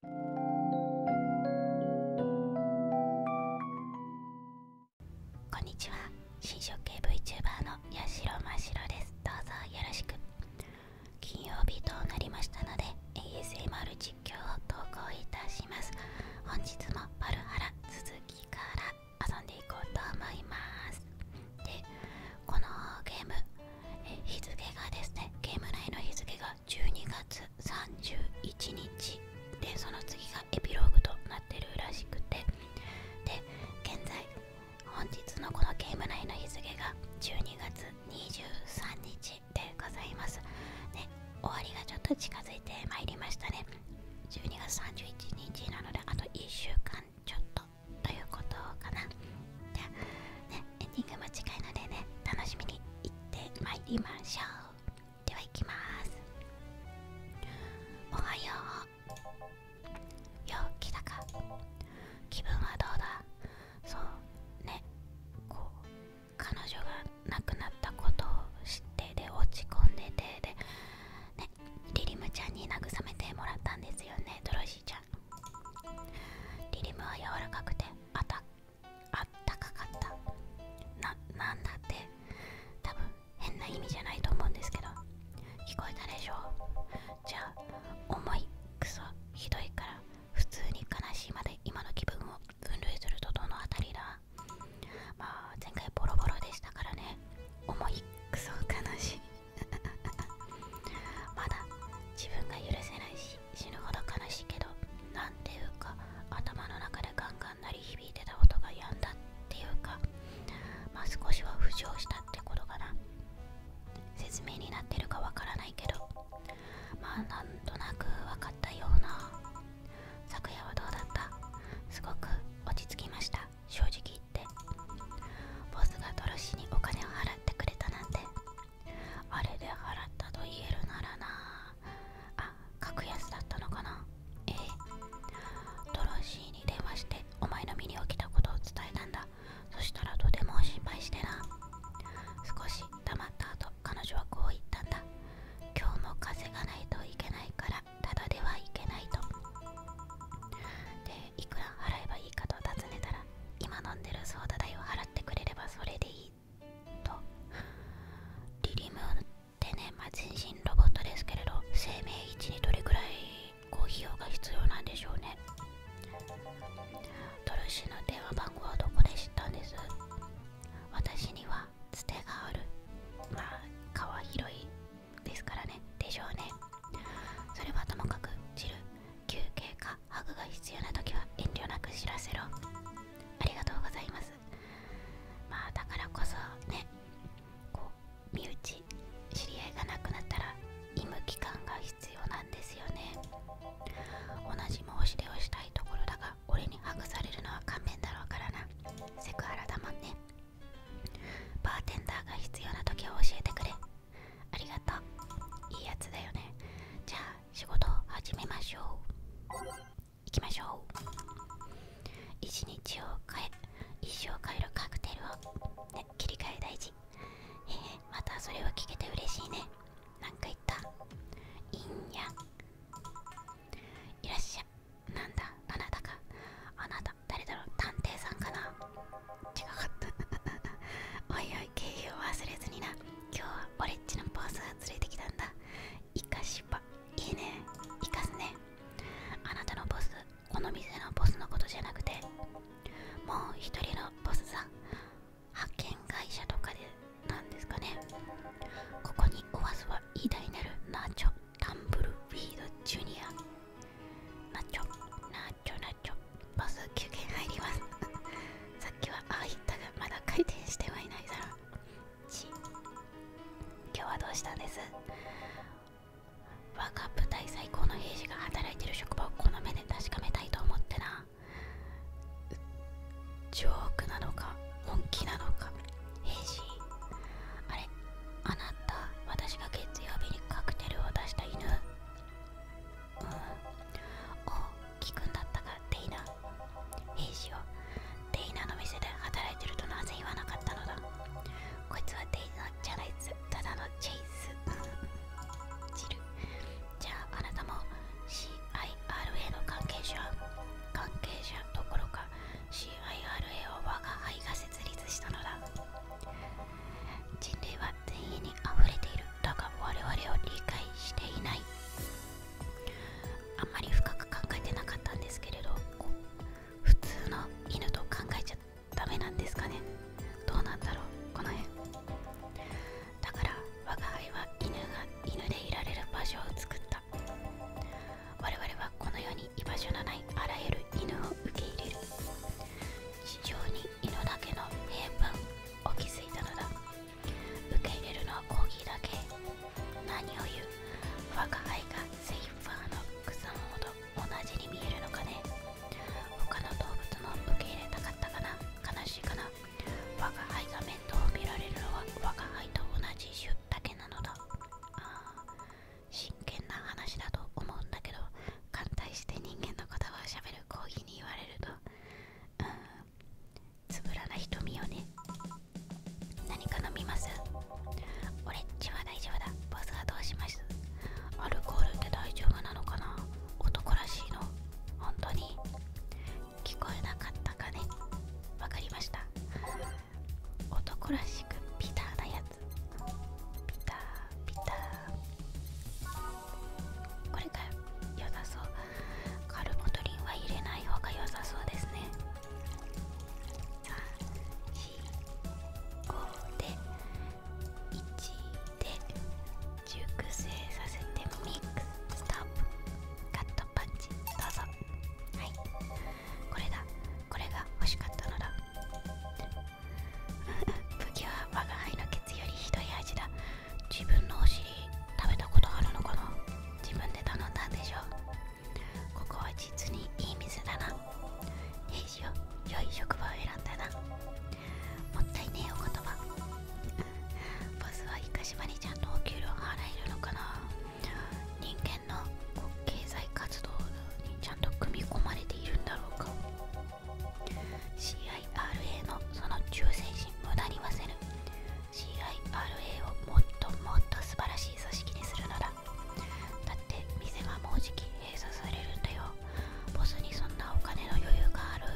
こんにちは新色系 VTuber のやしろましろですどうぞよろしく金曜日となりましたので ASMR 実況を投稿いたします本日もパルハラ続きから遊んでいこうと思いますでこのゲームえ日付がですねゲーム内の日付が12月31日でその次がエピローグとなってるらしくてで現在本日のこのゲーム内の日付が12月23日でございますね終わりがちょっと近づいてまいりましたね12月31日なのであと1週間ちょっとということかなじでねエンディングも近いのでね楽しみにいってまいりましょうではいきますおはようよう来たか気分はどうだそうねこう彼女が亡くなったことを知ってで落ち込んでてでねリリムちゃんに慰めてもらったんですよねドロシーちゃんリリムは柔らかくてアタッあったかかったななんだって多分変な意味じゃないと思うんですけど聞こえたでしょう。じゃあ重いクソひどいから普通に悲しいまで今の気分を分類するとどの辺りだまあ前回ボロボロでしたからね重いクソ悲しい まだ自分が許せないし死ぬほど悲しいけどなんていうか頭の中でガンガン鳴り響いてた音が止んだっていうかまあ少しは浮上したってことかな説明になってるかわからないけどまあなんとなく分かったような昨夜はどうだったすごく落ち着きました正直言ってボスがドロシにお金を払ってくれたなんてあれで払ったと言えるならなあ格安だったのかなええドロシーに電話してお前の身に起きたことを伝えたんだそしたらとても心配してな少しまった後彼女はこう言ったんだ今日も風がないといけないからただではいけないとでいくら払えばいいかと尋ねたら今飲んでるソーダ代を払ってくれればそれでいいとリリムってね、まあ、全身ロボットですけれど生命維持にどれくらいこ費用が必要なんでしょうねトルシの電話番号はどこで知ったんです私にはつてがあるまあ川広いですからねでしょうねそれはともかくジル休憩カハグが必要な時は遠慮なく知らせろありがとうございますまあだからこそねこう身内知り合いがなくなったら医務機関が必要なんですよね同じ申し出をしたいところだが俺にハグされるのは勘弁だろうからなセクハラだもんねバーテンダーが必要な時は教えてくれありがとういいやつだよねじゃあ仕事を始めましょう行きましょう一日を変え一生変えるカクテルを、ね、切り替え大事えー、またそれを聞けて嬉しいね何か言ったいいんやいらっしゃなんだあなたかあなた誰だろう探偵さんかな違かった おいおい経費を忘れずにな今日は俺っちのボスが連れてきたんだ生かしばいいねイかすねあなたのボスこの店のボスのことじゃなくてもう一人のボスさん派遣会社とかでなんですかねここにおわずは偉大なるナチョタンブルフィードジュニアナチョナチョナチョバス休憩入ります さっきはああいったがまだ回転してはいないだろ今日はどうしたんです若ーク隊最高の兵士が働いてる職場をこの目で確かめたいと思ってなジョークなのか本気なのか兵士あれあなた私が月曜日にカクテルを出した犬聞くんだったがデイナ兵士よデイナの店で働いてるとなぜ言わなかったのだこいつはデイナじゃないつただのチェイスジ ルじゃああなたも CIRA の関係者関係者どころか CIRA を我が輩が設立したのだ人類は全員に溢れているだが我々を理解していないあんまり深く考えてなかったんですけれど普通の犬と考えちゃダメなんですかねどうなんだろうこの辺だから我が輩は犬が犬でいられる場所を作った我々はこの世に居場所のないあらゆる犬を受け入れる地上に犬だけの平凡を築いたのだ受け入れるのはコーギーだけ何を言う我が愛がセイファーの草物と同じに見えるのかね他の動物も受け入れたかったかな悲しいかな我が愛が面倒を見られるのは我が愛と同じ種だけなのだあ真剣な話だと思うんだけど反対して人間のことをしゃべるコーギーに言われるとうん、つぶらな瞳をね何か飲みます俺レンジは大丈夫だボスはどうしますアルコールって大丈夫なのかな男らしいの本当に聞こえなかったかねわかりました男らしくビターなやつビタービターこれから良さそうカルボトリンは入れない方が良さそうですね345で1で熟成させてミックスストップカットパッチどうぞはいこれだこれが欲しかったのだ不器は我が輩のケツよりひどい味だ自分のお尻食べたことあるのかな自分で頼んだんでしょここは実にいい店だないいしよ良い職場を選んだなもったいねえお言葉ボスはイカシマにちゃんとお給料払えるのかな人間の経済活動にちゃんと組み込まれているんだろうか CIRA のその忠誠心無駄に忘れる CIRA をもっともっと素晴らしい組織にするのだだって店がもうじき閉鎖されるんだよボスにそんなお金の余裕がある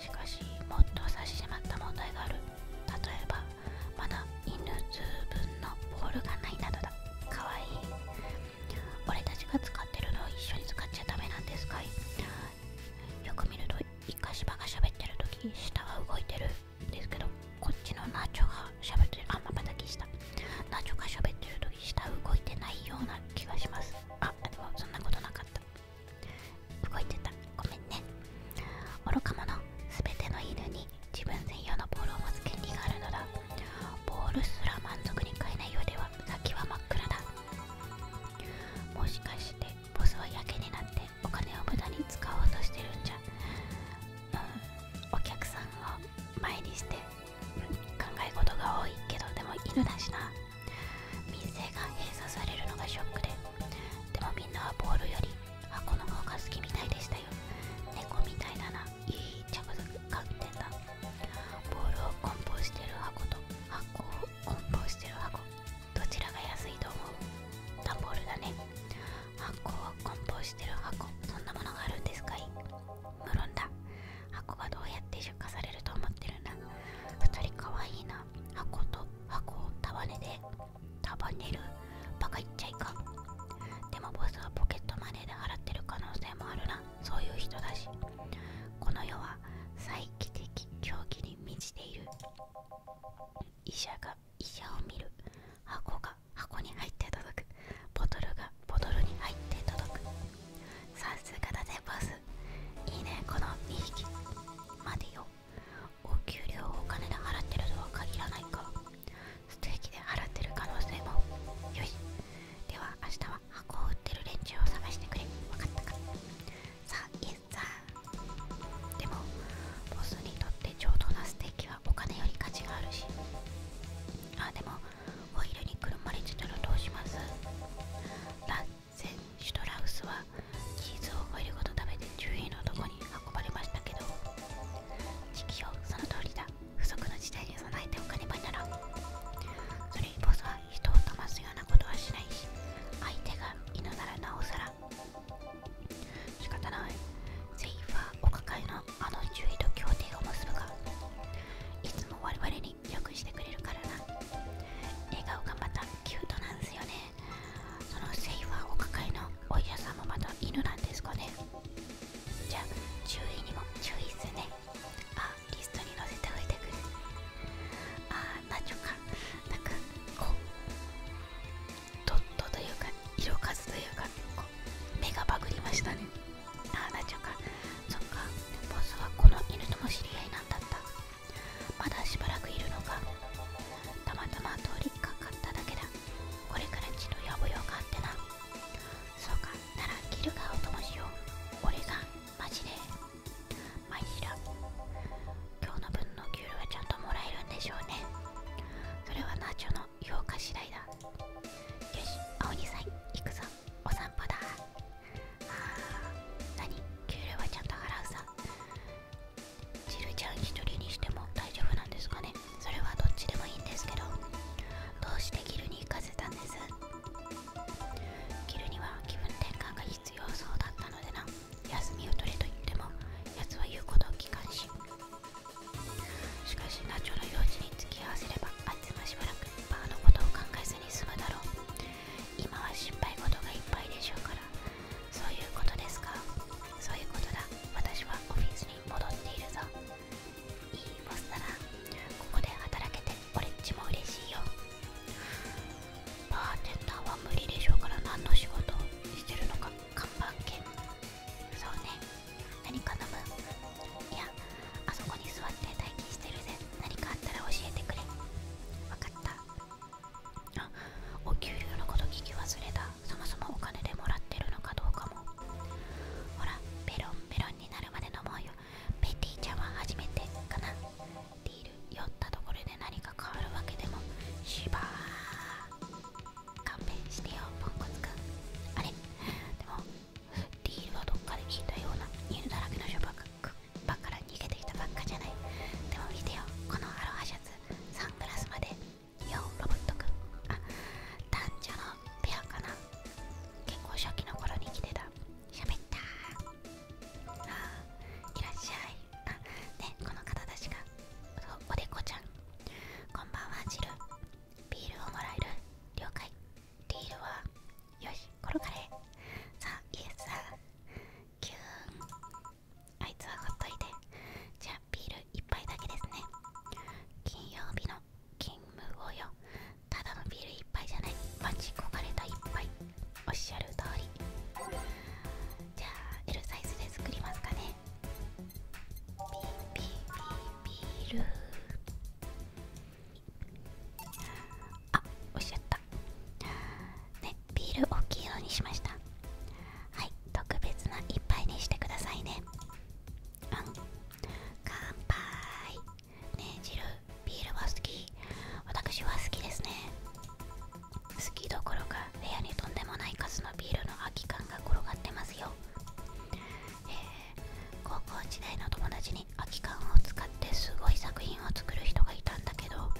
しかしもっと差し迫った問題がある例えばまだ犬数分のボールがないなどだかわいい俺たちが使ってるのを一緒に使っちゃダメなんですかいよく見るとイカシバが喋ってるとき下は動いてるんですけどこっちのナチョが喋ってるあまばたきしたナチョが喋ってるとき下動いてないような気がしますあでもそんなことなかった動いてたごめんね愚か者すべての犬に自分専用のボールを持つ権利があるのだボールすら満足に買えないようでは先は真っ暗だもしかしてボスはやけになってお金を無駄に使おうとしてるんじゃ、お客さんを前にして、考え事が多いけどでも犬だしな民生が閉鎖されるのがショックででもみんなはボールより箱の方が好きみたいでしたよ猫みたいだないい着眼点だボールを梱包してる箱と箱を梱包してる箱どちらが安いと思うダンボールだね箱酵を梱包してる箱そんなものがあるんですかい無論だ箱がどうやって出荷されると思ってるんだ2人かわいいな箱と箱を束ねで束ねるバカ言っちゃいかん。でもボスはポケットマネーで払ってる可能性もあるなそういう人だしこの世は再帰的狂気に満ちている医者が医者を見る箱が箱に入って届くボトルがボトルに入って届くさすがだぜボスいいねこの2匹までよお給料をお金で払ってるとは限らないかステーキで払ってる可能性もよしでは明日は箱を売ってる連中を探してくれ分かったかさでもボスにとって上等なステーキはお金より価値があるしあでもホイールにくるまれてたらどうしますラッセン・シュトラウスはチーズをホイールごと食べて獣医のとこに運ばれましたけど時期をその通りだ不測の事態に備えておかねばならん。それにボスは人を騙すようなことはしないし相手が犬ならなおさらから仕方ないセイフはお抱えのあの獣医と協定を結ぶがいつも我々によくしてくれるからな笑顔がまたキュートなんですよねそのセイフはお抱えのお医者さんもまた犬なんですかねじゃあ獣医にも注意っするねあリストに載せておいてくるああ何ちょかなんかこうドっとというか色数というか目がバグりましたねああなっちゃうかそっかボスはこの犬との知り合いなんだったまだしばらくいるのかたまたま通りかかっただけだこれから血の野暮用があってなそうかならギルガーをともしよう俺がマジでマイシ今日の分の給料はちゃんともらえるんでしょうねそれはナチョの評価次第だよし青さん、行くぞお散歩だあー何給料はちゃんと払うさジルちゃん一人にしても大丈夫なんですかねそれはどっちでもいいんですけどどうしてギルに行かせたんですギルには気分転換が必要そうだったのでな休みを取れと言っても奴は言うことを聞かんししかしナチョの用事に付き合わせればあいつはしばらくバーのことを考えずに済むだろう今は心配事がいっぱいでしょうからそういうことですかそういうことだ私はオフィスに戻っているぞいいボスならここで働けて俺っちも嬉しいよバーテンダーは無理でしょうから何の仕事をしてるのか看板犬そうね何か飲むいやあそこに座って待機してるぜ何かあったら教えてくれわかったあお給料のこと聞き忘れたそもそもお金でもらってるのかどうかもほらペロンペロンになるまで飲もうよペティちゃんは初めてかなディール酔ったところで何か変わるわけでもしばー勘弁してよポンコツくんあれでもディールはどっかで聞いたような犬だらけのショバッっから逃げてきたばっかじゃないでも見てよこのアロハシャツサングラスまでようロボットくんあ男女のペアかな結構初期の頃に来てた喋ったーあいらっしゃいあねこの方たちがおでこちゃんこんばんはジルビールをもらえる了解ビールはよし転がれさあイエスさあキューンあいつはほっといてじゃあビール一杯だけですね金曜日の勤務をよただのビール一杯じゃない待ち焦がれたいっぱいおっしゃる通りじゃあ L サイズで作りますかねビビビビルあおっしゃったねビール大きいのにしましたはい特別な一杯にしてくださいねうん乾杯ねえジルビールは好き私は好きですね好きどころか部屋にとんでもない数のビールの空き缶が転がってますよ、えー、高校時代の友達に空き缶を使ってすごい作品を作る人がいたんだけど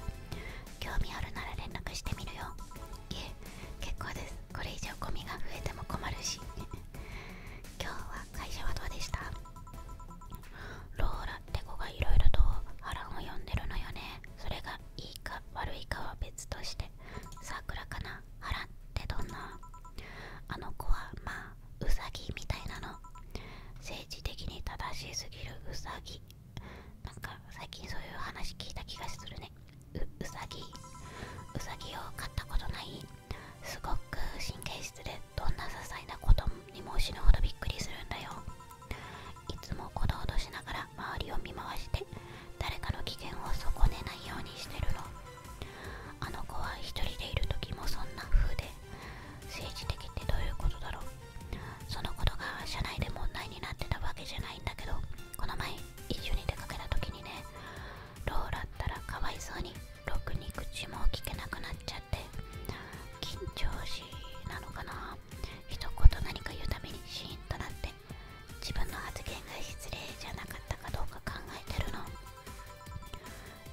興味あるなら連絡してみるよいえ結構ですこれ以上ゴミが増えても困るし今日は会社はどうでしたローラって子がいろいろと波乱を呼んでるのよねそれがいいか悪いかは別としてっかなハってどんなあの子はまあウサギみたいなの政治的に正しすぎるウサギなんか最近そういう話聞いた気がするねううさぎうさぎを飼ったことないすごく神経質でどんな些細なことにも死ぬほどびっくりするんだよいつもことおとしながら周りを見回して誰かの機嫌を損ねないようにしてるのあの子は一人でいる時もそんな風で政治的ってどういうことだろうそのことが社内で問題になってたわけじゃないんだけどこの前一緒に出かけた時にねローだったらかわいそうにろくに口も聞けなくなっちゃって緊張しなのかな一言何か言うたびにシーンとなって自分の発言が失礼じゃなかったかどうか考えてるの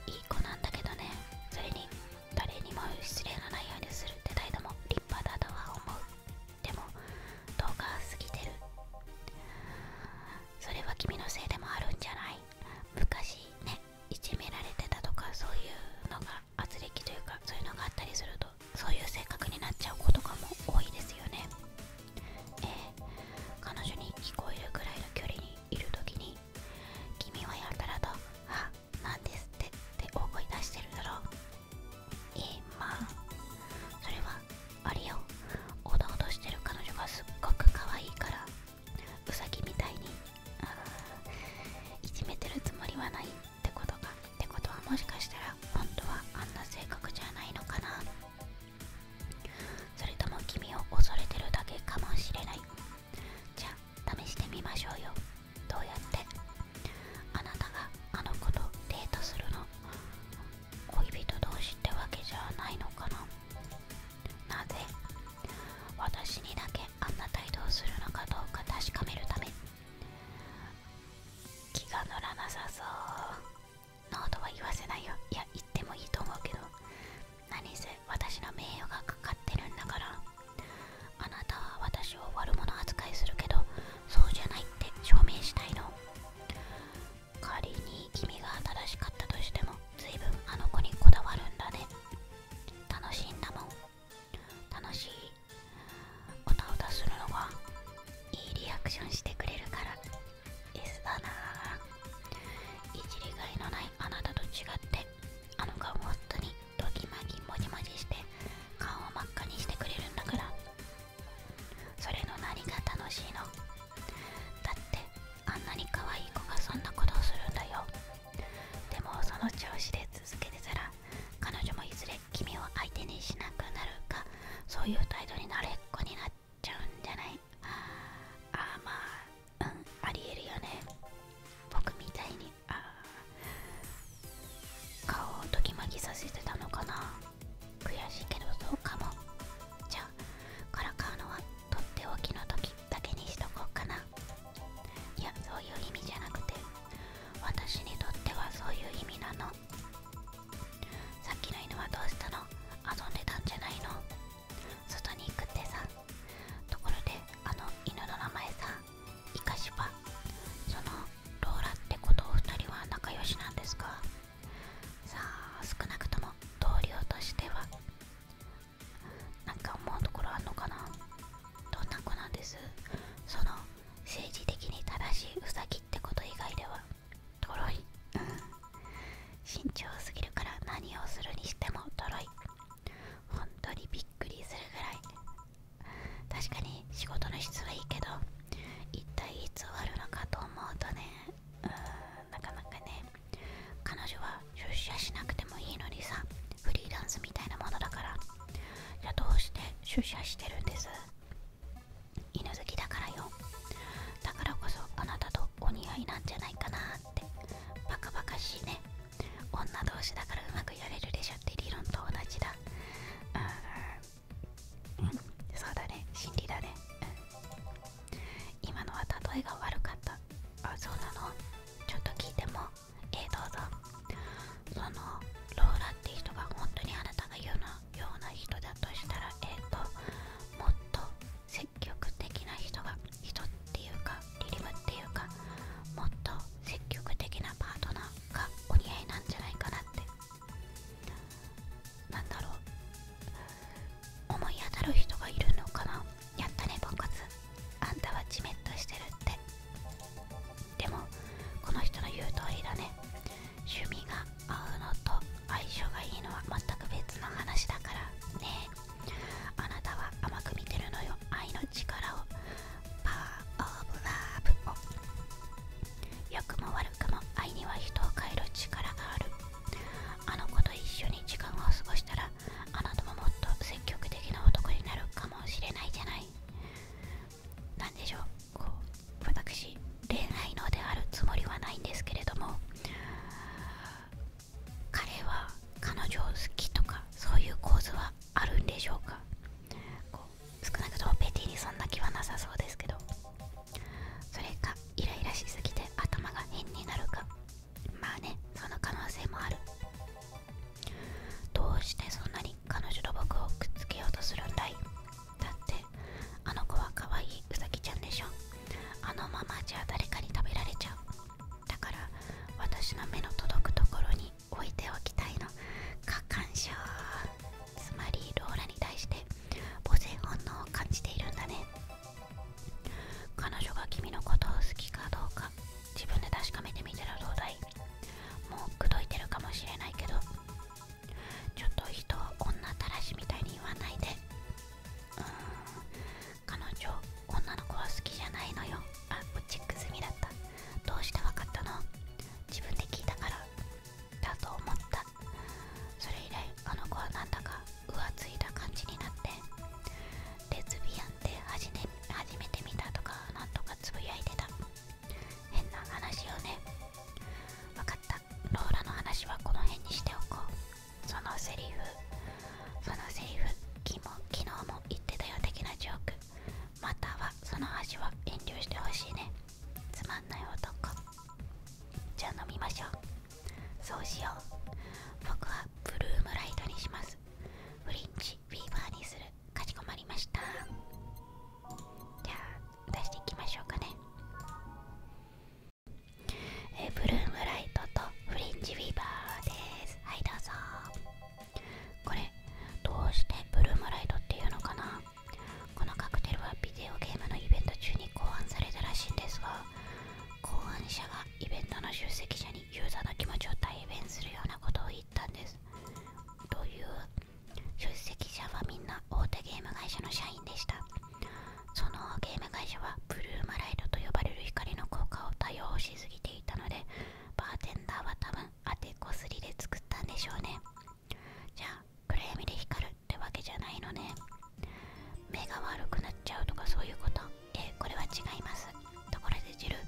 いい子なんだけどねそれに誰にも失礼のないようにするって態度も立派だとは思うでも動画は過ぎてるそれは君のせいでもあるんじゃない昔ねいじめられてたとかそういうのが軋轢というかそういうのがあったりするとそういう性格になっちゃうことかも多いですよね、ええ、彼女に聞こえるくらいの距離にいる時に「君はやたらとあなんですって」って大声出してるだろうえー、まあそれはあれよおどおどしてる彼女がすっごく可愛いからうさぎみたいにいじめてるつもりはないってことかってことはもしかしたら本当はあんな性格じゃないのかなそれとも君を恐れてるだけかもしれないじゃ試してみましょうよどうやってあなたがあの子とデートするの恋人同士ってわけじゃないのかななぜ私にだけあんな態度をするのかどうか確かめるため気が乗らなさそうノートは言わせないよいや言ってもいいと思うけど何せ私の名誉がかかってるんだからあなたは私を悪者扱いするけどそうじゃないって証明したいの仮に君が正しかったとしてもずいぶんあの子にこだわるんだね楽しいんだもん楽しいおたおたするのがいいリアクションしてくれるから S だないじりがいのないあなたと違ってあの顔本当にドキマギ。モジモジして顔を真っ赤にしてくれるんだからそれの何が楽しいのだってあんなに可愛い子がそんなことをするんだよでもその調子で続けてたら彼女もいずれ君を相手にしなくなるかそういう態度になれっこになっちゃうんじゃないあーまあうんありえるよね僕みたいにあ顔をときまきさせてたのかな悔しいけどそうかもじゃあからかうのはとっておきの時だけにしとこうかないやそういう意味じゃなくて私にとってはそういう意味なのさっきの犬はどうしたの遊んでたんじゃないの外に行くってさところであの犬の名前さイカシバそのローラってことお二人は仲良しなんですかさあ少なくとも同僚としてはなんか思うところあんのかなどんな子なんですその政治的に正しいうさぎってこと以外ではとろい、うん、慎重すぎるから何をするにしてもとろい本当にびっくりするぐらい確かに仕事の質はいいけど一体いつ終わるのかと思うとねうんなかなかね彼女は出社しなくてもいいのにさフリーランスみたいなものだからじゃあどうして出社してるんです犬好きだからよだからこそあなたとお似合いなんじゃないかなってバカバカしいね女同士だからうまくやれるでしょって理論と同じだうん、そうだね心理だね、うん、今のは例えが悪かったあそうなのちょっと聞いてもええ。どうぞそのローラっていう人が本当にあなたが言うなような人だとしたらえっ、ともっと積極的な人が人っていうかリリムっていうかもっと積極的なパートナーがお似合いなんじゃないかなってなんだろう思い当たる人がいるのかなやったねポンコツあんたはじめっとしてるってでもこの人の言う通りだね趣味が会うのと相性がいいのは全く別の話だからねあなたは甘く見てるのよ愛の力をパワーオブラブを良くも悪くも愛には人を変える力があるあの子と一緒に時間を過ごしたらあなたももっと積極的な男になるかもしれないじゃない何でしょうこう私恋愛のであるつもりはないんですけれども彼は彼女を好きとかそういう構図はあるんでしょうかこう少なくともペティにそんな気はなさそうですけどそれかイライラしすぎて頭が変になるかまあねその可能性もあるどうしてそんなに彼女と僕をくっつけようとするんだいだってあの子は可愛いウサギちゃんでしょあのままじゃ誰かに食べられちゃうだから私の目の届くところに置いておきたいの過干渉つまりローラに対して母性本能を感じているんだね彼女が君のことを好きかどうか自分で確かめてみたらどうだいもう口説いてるかもしれないけどちょっと人を女たらしみたいに言わないでうん彼女女の子は好きじゃないのよあチェック済みだったどうして分かったの自分で聞いたからだと思ったそれ以来あの子はなんだか浮ついた感じになってレズビアンって初めて見たとかなんとかつぶやいてた変な話をね分かったローラの話はこの辺にしておこうそのセリフそのセリフ昨日も言ってたよ的なジョークまたはその味は遠慮してほしいねつまんない男じゃあ飲みましょうそうしよう僕はブルームライトにしますフリンチフィーバーにするかしこまりましたじゃあ出していきましょうかねえブルームライトとフリンジウィーバーですはいどうぞこれどうしてブルームライトっていうのかなこのカクテルはビデオゲームのイベント中に考案されたらしいんですが考案者がイベントの出席者にユーザーの気持ちを体現するようなことを言ったんですどういう出席者はみんな大手ゲーム会社の社員でしたそのゲーム会社はブルーマライドと呼ばれる光の効果を多用しすぎていたのでバーテンダーは多分当てこすりで作ったんでしょうねじゃあ暗闇で光るってわけじゃないのね目が悪くなっちゃうとかそういうことえー、これは違いますところでジル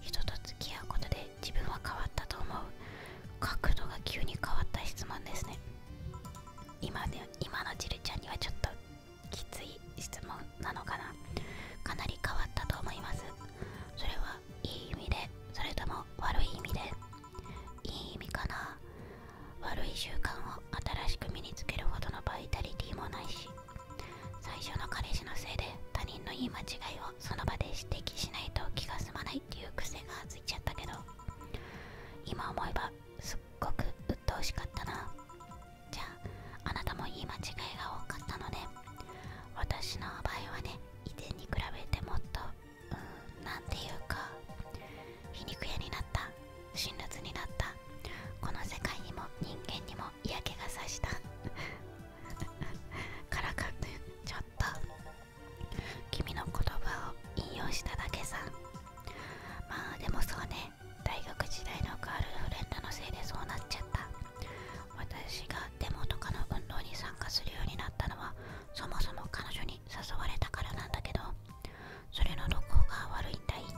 人と付き合うことで自分は変わったと思う角度が急に変わった質問ですね今ね今のジるちゃんにはちょっときつい質問なのかなかなり変わったと思いますそれはいい意味でそれとも悪い意味でいい意味かな悪い習慣を新しく身につけるほどのバイタリティもないし最初の彼氏のせいで他人の言い間違いをその場で指摘しないと気が済まないっていう癖がついちゃったけど今思えばすっごく鬱陶しかったなじゃああなたも言い間違いが多かったので、私の場合はね以前に比べてもっとうん何て言うか皮肉屋になった辛辣になったこの世界にも人間にも嫌気がさした からかってちょっと君の言葉を引用しただけさまあでもそうね大学時代のガールフレンドのせいでそうなっちゃった私がデモとかの運動に参加するようになったのはそもそも彼女に誘われたからなんだけどそれのどこが悪いんだい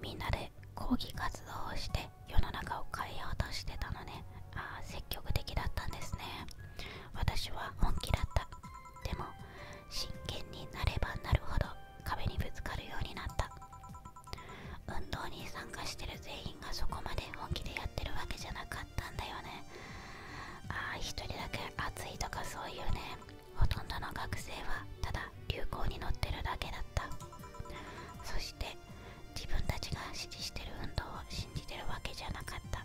みんなで抗議活動をして世の中を変えようとしてたのねああ積極的だったんですね私は本気だったでも真剣になればなるほど壁にぶつかるようになった運動に参加してる全員がそこまで本気でやってるわけじゃなかったんだよねああ一人だけ暑いとかそういうねほとんどの学生はただ流行に乗ってるだけだったそして自分たちが支持してる運動を信じてるわけじゃなかった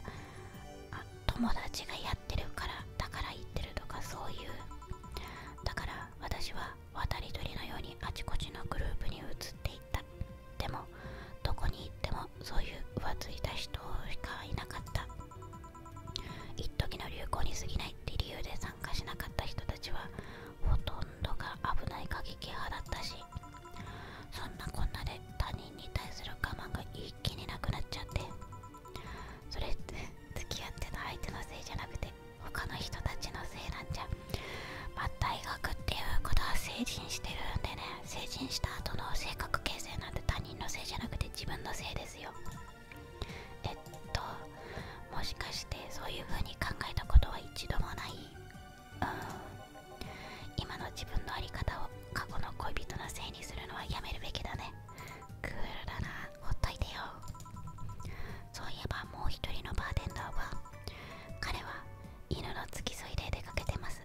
友達がやってるからだから言ってるとかそういうだから私は渡り鳥のようにあちこちのグループに移っていったでもどこに行ってもそういう浮ついた人しかいなかった一時の流行に過ぎないって理由で参加しなかった人たちはほとんどが危ない過激派だったしそんなこんなで他人に対する我慢が一気になくなっちゃってそれって付き合ってた相手のせいじゃなくて他の人たちのせいなんじゃま大学っていうことは成人してるんでね成人した後の性格形成なんて他人のせいじゃなくて自分のせいですよえっともしかしてそういう風に考えたことは一度もない今の自分の在り方を過去の恋人のせいにするのはやめるべきだねクールだなほっといてよそういえばもう一人のバーテンダーは彼は犬の付き添いで出かけてます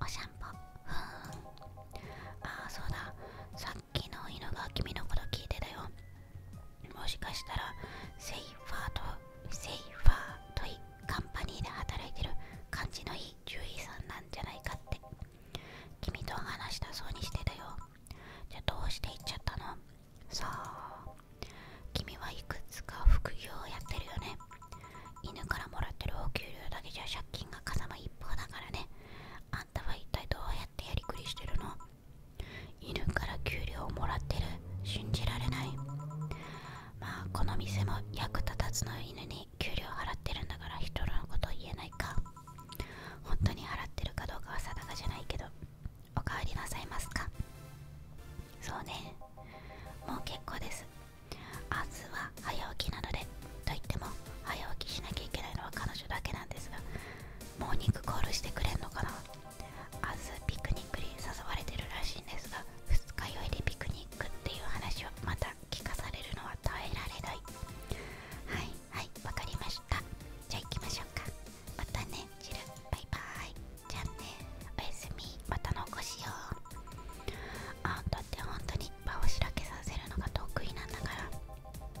おしゃんぽふんああそうださっきの犬が君のこと聞いてたよもしかしたらセイファーとセイファーといカンパニーで働いてる感じのいい獣医さんなんじゃないかって君と話したそうにしてたよじゃあどうして行っちゃったのさあ君はいくつか副業をやってるよね犬からもらってるお給料だけじゃ借金がかさむ一方だからねあんたは一体どうやってやりくりしてるの犬から給料をもらってる信じられないまあこの店も役立たずの犬に給料払ってるんだから人のこと言えないか本当に払ってるかどうかは定かじゃないけどおかわりなさいますかそうねもう結構です明ずは早起きなのでと言っても早起きしなきゃいけないのは彼女だけなんですがモーニングコールしてくれんのかな明日ピクニックに誘われてるらしいんですが二日酔いでピクニックっていう話を。また聞かされるのは耐えられないはいはいわかりましたじゃあ行きましょうかまたねチルバイバイじゃあねおやすみまたのおしようあんたって本当に場をしらけさせるのが得意なんだから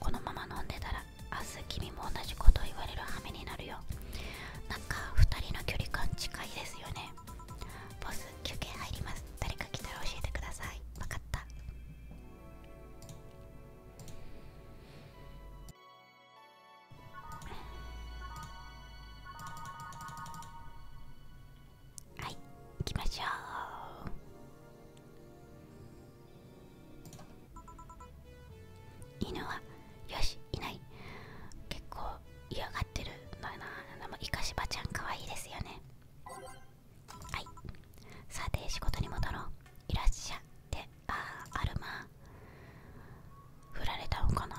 このまま飲んでたら明日君も同じことを言われる羽目になるよなんか2人の距離感近いですよねボス休憩入ります誰か来たら教えてください分かったはい行きましょう犬はよしいない結構嫌がってるのよなでもイカシバちゃん可愛いですよねはいさて仕事に戻ろういらっしゃってああアルマ振られたのかな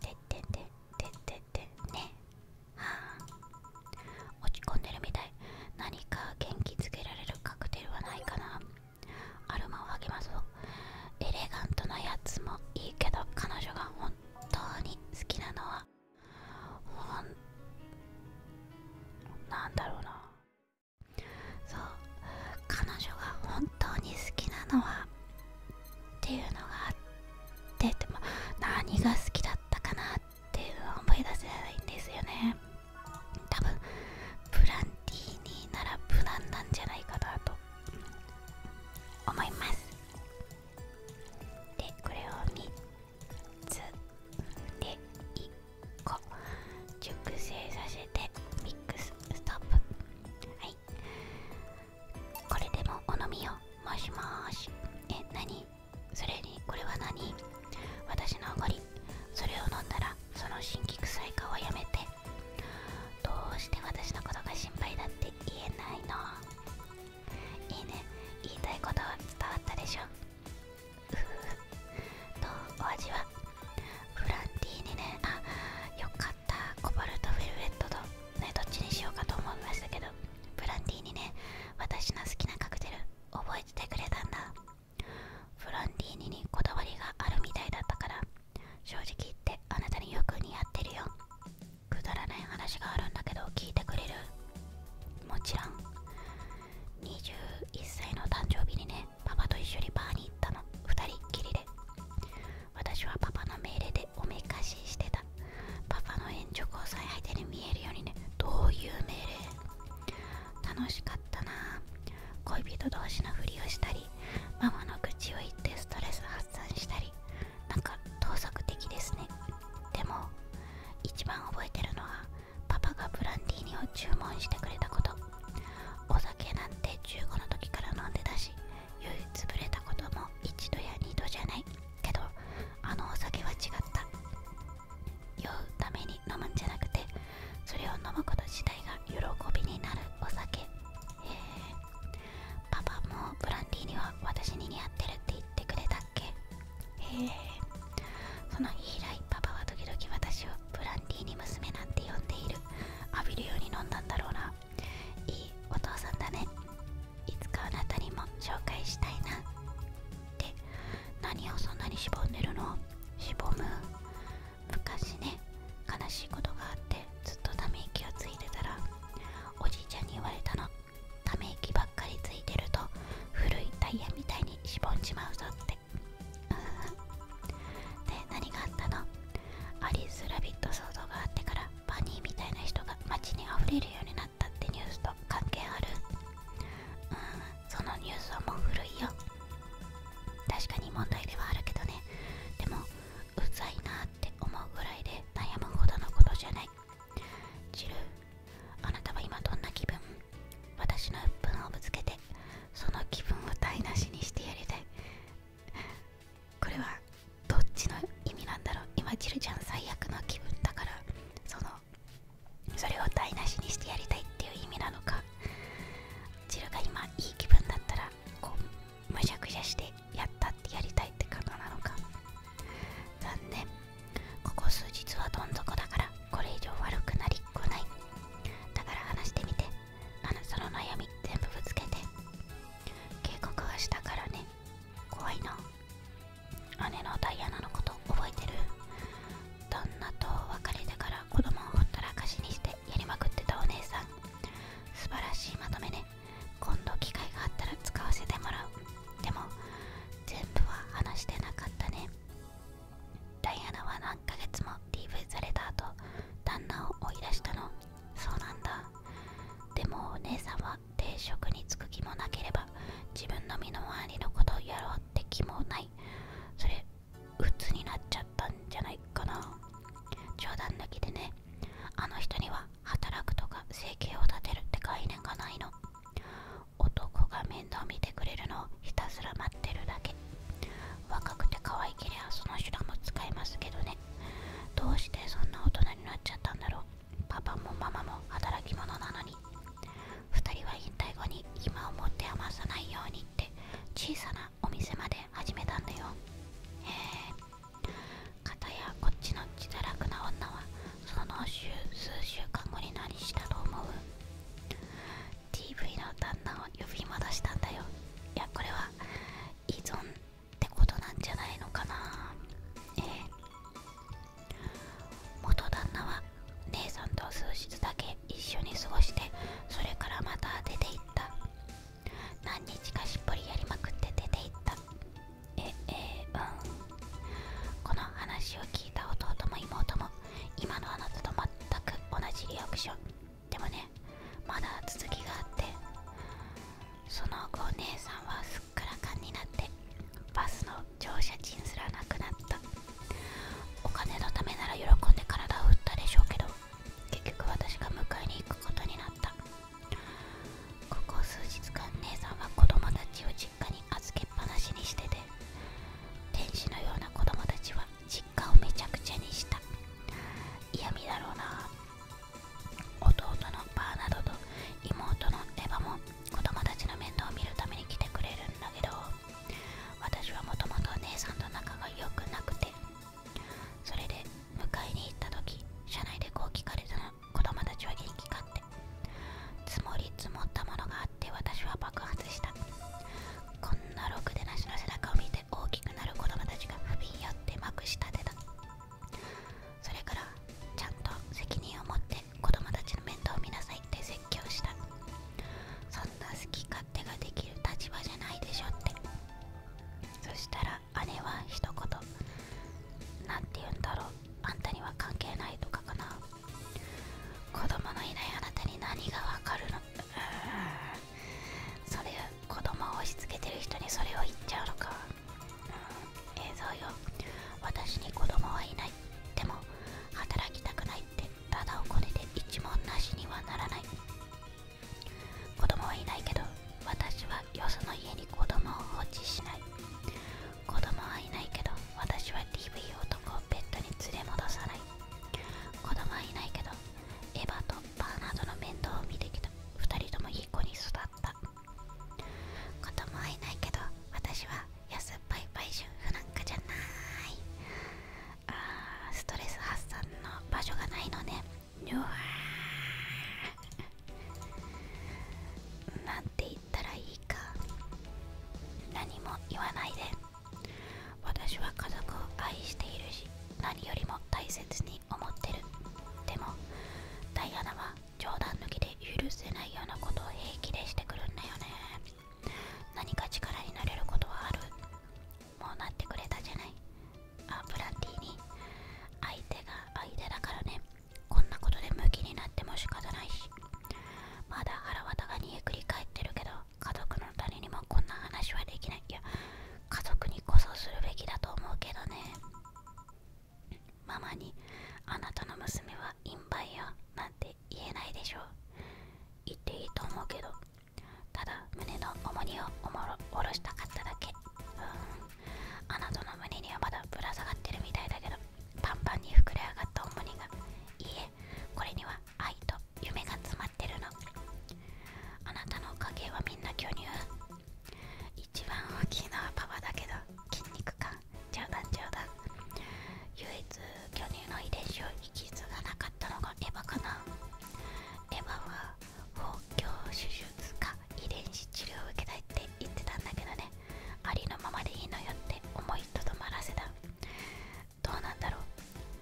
てってんてってててねはあ落ち込んでるみたい何か元気づけられるカクテルはないかなアルマを励ますぞエレガントなやつもいいけど彼女が本当に好きなのはなんだろうなそう彼女が本当に好きなのはっていうのがあってでも何が好きだったかなっていう思い出せないんですよね多分プランティーニなら無難なんじゃないかなと思いますでこれを3つで1個熟成させてミックスストップはいこれでもお飲みをもしもーしえ何それにこれは何私のおごりそれを飲んだらその新規臭い顔はやめてどうして私のことが心配だって言えないのいいね言いたいことは伝わったでしょうふ とお味はフランティーにねあよかったコバルトフェルエットとねどっちにしようかと思いましたけどフランティーにね私の好きなカクテル覚えててくれたんだフランティーニにこだわりがあるみたいだったから正直言ってあなたによく似合ってるよくだらない話があるんだけど聞いてくれるもちろん21歳の誕生日にねパパと一緒にバーに行ったの2人っきりで私はパパの命令でおめかししてたパパの援助交際相手に見えるようにねどういう命令楽しかったな恋人同士のふりをしたりママの口を言ってストレス発散したりなんか盗作的ですねでも一番覚えてるのはパパがブランディーニを注文してくれたことお酒なんて15の時から飲んでたし酔いつぶれたことも一度や二度じゃないけどあのお酒は違った酔うために飲むんじゃなくてそれを飲むこと自体が喜びになるお酒へえパパもブランディーニは私に似合ってるって言言てくれたっけへえその日以来パパは時々私をブランディーに娘なんて呼んでいる浴びるように飲んだんだろうないいお父さんだねいつかあなたにも紹介したいなって何をそんなにしぼんでるのしぼむ昔ね悲しいことがあってずっとため息をついてたらおじいちゃんに言われたのため息ばっかりついてると古いタイヤみたいにしぼんちまうぞって で何があったのアリス・ラビット騒動があってからバニーみたいな人が街にあふれるようになったってニュースと関係あるうんそのニュースはもう古いよ確かに問題ではあるけどねでもうざいなって思うぐらいで悩むほどのことじゃないジルあなたは今どんな気分私の分をぶつけてその気分を台無しにしてやりたいこれはどっちの意味なんだろう今ジルちゃん最悪の気分だからそのそれを台無しにしてやりたいっていう意味なのかジルが今いい気分だったらこうむしゃくしゃしてやったってやりたいってことなのか残念ここ数日はどん底だからこれ以上悪くなりっこないだから話してみてあなたの悩み全部ぶつけて警告はしたからね怖いの姉のダイアナのこと覚えてる旦那と別れてから子供をほったらかしにしてやりまくってたお姉さん素晴らしいまとめね今度機会があったら使わせてもらうでも全部は話してなかったねダイアナは何ヶ月も DV された後旦那を追い出したのそうなんだでもお姉さんは定職に就く気もなければ自分の身の回りのことをやろうって気もないそれ鬱になっちゃったんじゃないかな冗談抜きでねあの人には働くとか生計を立てるって概念がないの男が面倒見てくれるのをひたすら待ってるだけ若くて可愛けりゃその手段も使えますけどねどうしてそんな大人になっちゃったんだろうパパもママも働き者なのに2人は引退後に今をもって余さないようにって小さなお店まで始めたんだよへえかたやこっちの血だらくな女はその数週間後に何したと思う d v の旦那を呼び戻したんだよいやこれは依存ってことなんじゃないのかなええ元旦那は姉さんと数日だけ一緒に過ごしてそれからまた出て行った何日かしっぽりやりまくって出て行ったええうんこの話を聞いた弟も妹も今のあなたと全く同じリアクションでもねまだ続きがあってその後姉さんはすっからかんになってバスの乗車賃すらなくなったお金のためなら喜んで体を打ったでしょうけど結局私が迎えに行くことになったここ数日間姉さんは子供たちを実実に預けぱなしにしてて天使のような子供たちは実家をめちゃくちゃにした嫌味だろうな弟のバーなどと妹のエヴァも子供たちの面倒を見るために来てくれるんだけど私はもともと姉さんと仲が良くなくてそれで迎えに行った時車内でこう聞かれたの子供たちは人気かって積もり積もったものがあって私は爆発したこんなろくでなしの背中を見て大きくなる子供たちが不憫やってまくしたてた。それからちゃんと責任を持って子供たちの面倒を見なさいって説教したそんな好き勝手ができる立場じゃないでしょってそしたら姉は一言何て言うんだろうあんたには関係ないとかかな子供のいないあなたに何がわかるのそれ子供を押し付けてる人にそれを言っちゃうのか、うん、映像よ私に子供はいないでも働きたくないってただお金で一文なしにはならない子供はいないけど私はよその家に子供を放置しない子供はいないけど私は DV 男をベッドに連れ戻さない子供はいないけどエヴァとバーナードの面倒を見てきた2人ともいい子に育った子供はいないけど私は安っぱい売春婦なんかじゃないああ、ストレス発散の場所がないのねうわーなんて言ったらいいか何も言わないで私は家族を愛しているし何よりも大切に思ってるでもダイアナは冗談抜きで許せないようなことを平気でしてくるんだよね何か力になれることはあるもうなってくれたじゃないあブランティーに相手が相手だからねこんなことでムキになっても仕方ないしまだ腹渡が煮えくり返ってるけど家族の誰にもこんな話はできないいや家族にこそするべきだと思うけどねママにあなたの娘はインバイアなんて言えないでしょう言っていいと思うけどただ胸の重荷をおろしたかっただけうんあなたの胸にはまだぶら下がってるみたいだけどパンパンに膨れ上がった重荷がいえこれには愛と夢が詰まってるのあなたの家系はみんな巨乳一番大きいのはパパだけど筋肉感冗談冗談唯一巨乳の遺伝子を引き継がなかったのがエヴァかなエヴァは補強手術か遺伝子治療を受けたいって言ってたんだけどねありのままでいいのよって思いにどまらせだどうなんだろ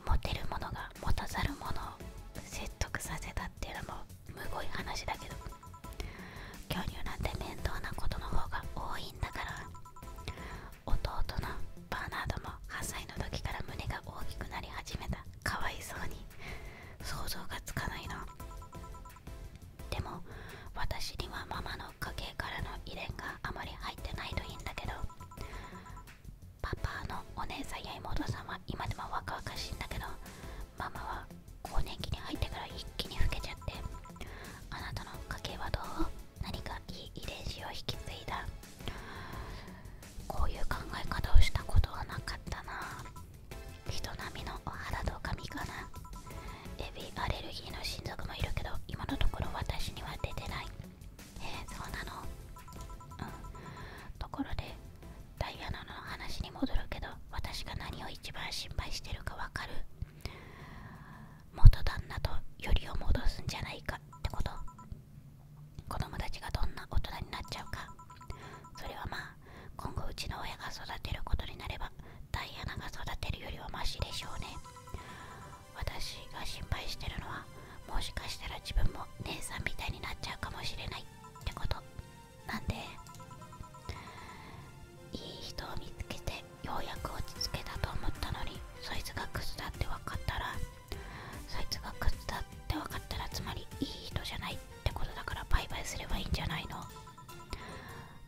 うモテるものが持たざるものを説得させたっていうのもむごい話だけど恐竜なんて面倒なことの方が多いんだから弟のバーナードも8歳の時から胸が大きくなり始めたかわいそうに想像がつかないの。でも私にはママの家計からの遺伝があまり入ってないといいんだけどパパのお姉さんや妹さんは今でも若々しいんだけどママは更年期に入ってから一気に老けちゃってあなたの家計はどう何かいい遺伝子を引き継いだこういう考え方をしたことはなかったな人並みのお肌と髪かなエビアレルギーの親族もいるけど今のところ私には出てないえー、そうなのうんところでダイアナの話に戻るけど私が何を一番心配してるかわかる元旦那とよりを戻すんじゃないかってこと子供たちがどんな大人になっちゃうかそれはまあ今後うちの親が育てることになればダイアナが育てるよりはマシでしょうね私が心配してるのはもしかしたら自分も姉さんみたいになっちゃうかもしれないってことなんでいい人を見つけてようやく落ち着けたと思ったのにそいつがクズだって分かったらそいつがクズだって分かったらつまりいい人じゃないってことだからバイバイすればいいんじゃないの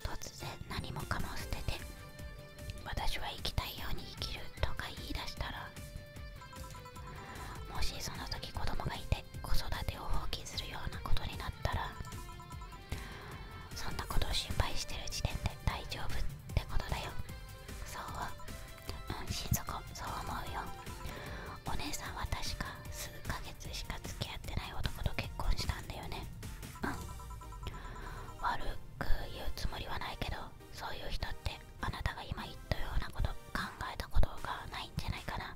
突然何もかも捨てて私は生きたいように生きるとか言い出したらもしその時子供がいて子育てを放棄するようなことになったらそんなことを心配してる時点で大丈夫ってことだよそううん心底そう思うよお姉さんは確か数ヶ月しか付き合ってない男と結婚したんだよねうん悪く言うつもりはないけどそういう人ってあなたが今言ったようなこと考えたことがないんじゃないかな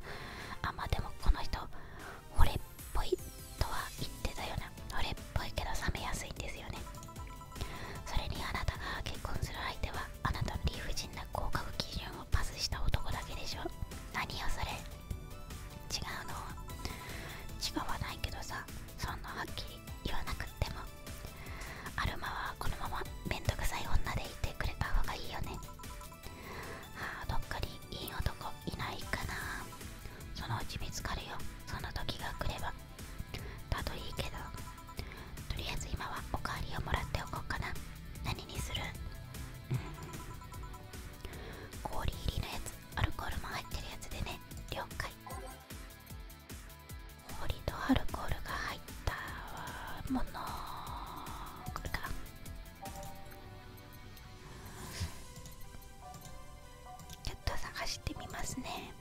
あまでもこの人俺っぽいとは言ってたよな俺っぽいけど冷めやすいんですよねそれにあなたが結婚する相手はあなた理不尽な合格基準をパスした男だけでしょ何よそれ違うの違わないけどさそんなはっきり言わなくってもアルマはこのままめんどくさい女でいてくれた方がいいよねああどっかにいい男いないかなそのうち見つかるよその時が来ればたといいけどとりあえず今はおかわりをもらっておこうかな何にするうん氷入りのやつアルコールも入ってるやつでね了解氷とアルコールが入ったものこれから。ちょっと探してみますね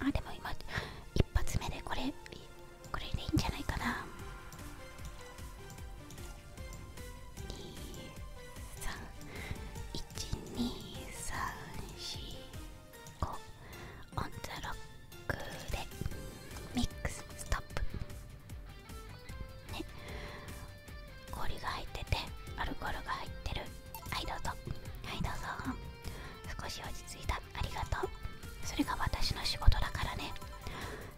あでも今一発目でこれこれでいいんじゃないかな1231234オンザロックでミックスストップね氷が入っててアルコールが入ってるはいどうぞはいどうぞ少し落ち着いたありがとうそれが私の仕事だからね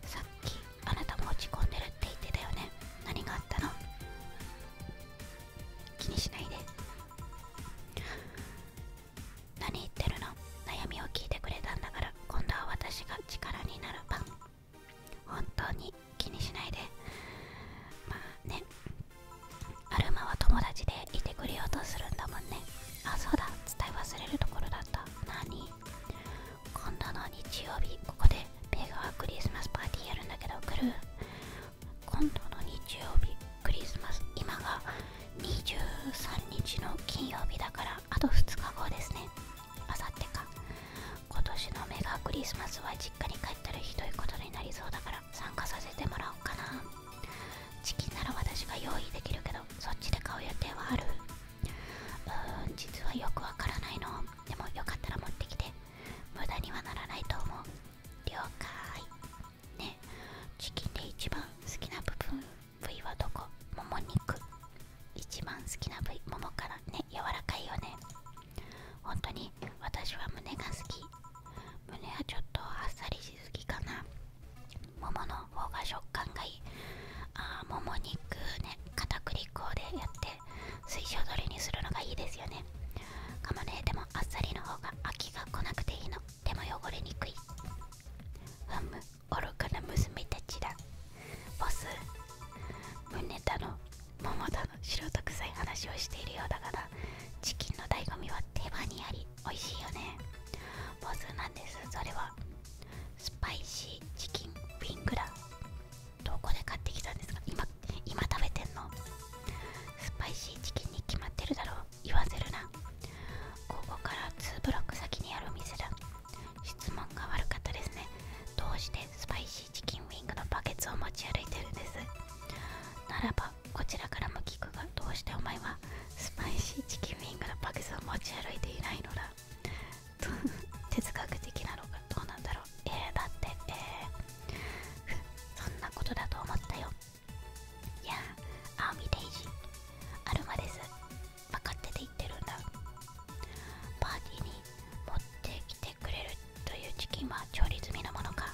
さっきあなたも落ち込んでるって言ってたよね何があったの気にしないで何言ってるの悩みを聞いてくれたんだから今度は私が力になる番本当に気にしないでまあねアルマは友達でいてくれようとするんだもんねあそうだ伝え忘れるところだった何今度の日曜日ここでメガクリスマスパーティーやるんだけど来る今度の日曜日クリスマス今が23日の金曜日だからあと2日後ですねあさってか今年のメガクリスマスは実家に帰ったらひどいことになりそうだから参加させてもらおうかなチキンなら私が用意できるけどそっちで買う予定はあるうーん実はよくわからないのでもよかったら持ってきて無駄にはならないと思う了解ねチキンで一番好きな部分部位はどこもも肉一番好きな部位ももからね柔らかいよね本当に私は胸が好き胸はちょっとあっさりしすぎかなももの方が食感がいいああもも肉ね片栗粉でやって水晶どれにするのがいいですよねカモネてもあっさりの方が秋が来なくていいのでも汚れにくいふむ愚かな娘たちだボス胸だの桃だの素人臭い話をしているようだからチキンの醍醐味は手羽にあり美味しいよねボスなんですそれはスパイシーチキンウィングラどこで買ってきたんですか今今食べてんのスパイシーチキンに決まってるだろう言わせるなここから2ブロック先にあるお店だ質問が悪かったですねどうしてスパイシーチキンウィングのバケツを持ち歩いてるんですならばこちらからも聞くがどうしてお前はスパイシーチキンウィングのバケツを持ち歩いていないのだ 哲学的なのかどうなんだろうえー、だってえー、そんなことだと思ったよいやアーミーデイジーアルマです分かってて言ってるんだパーティーに持ってきてくれるというチキンは調理済みのものか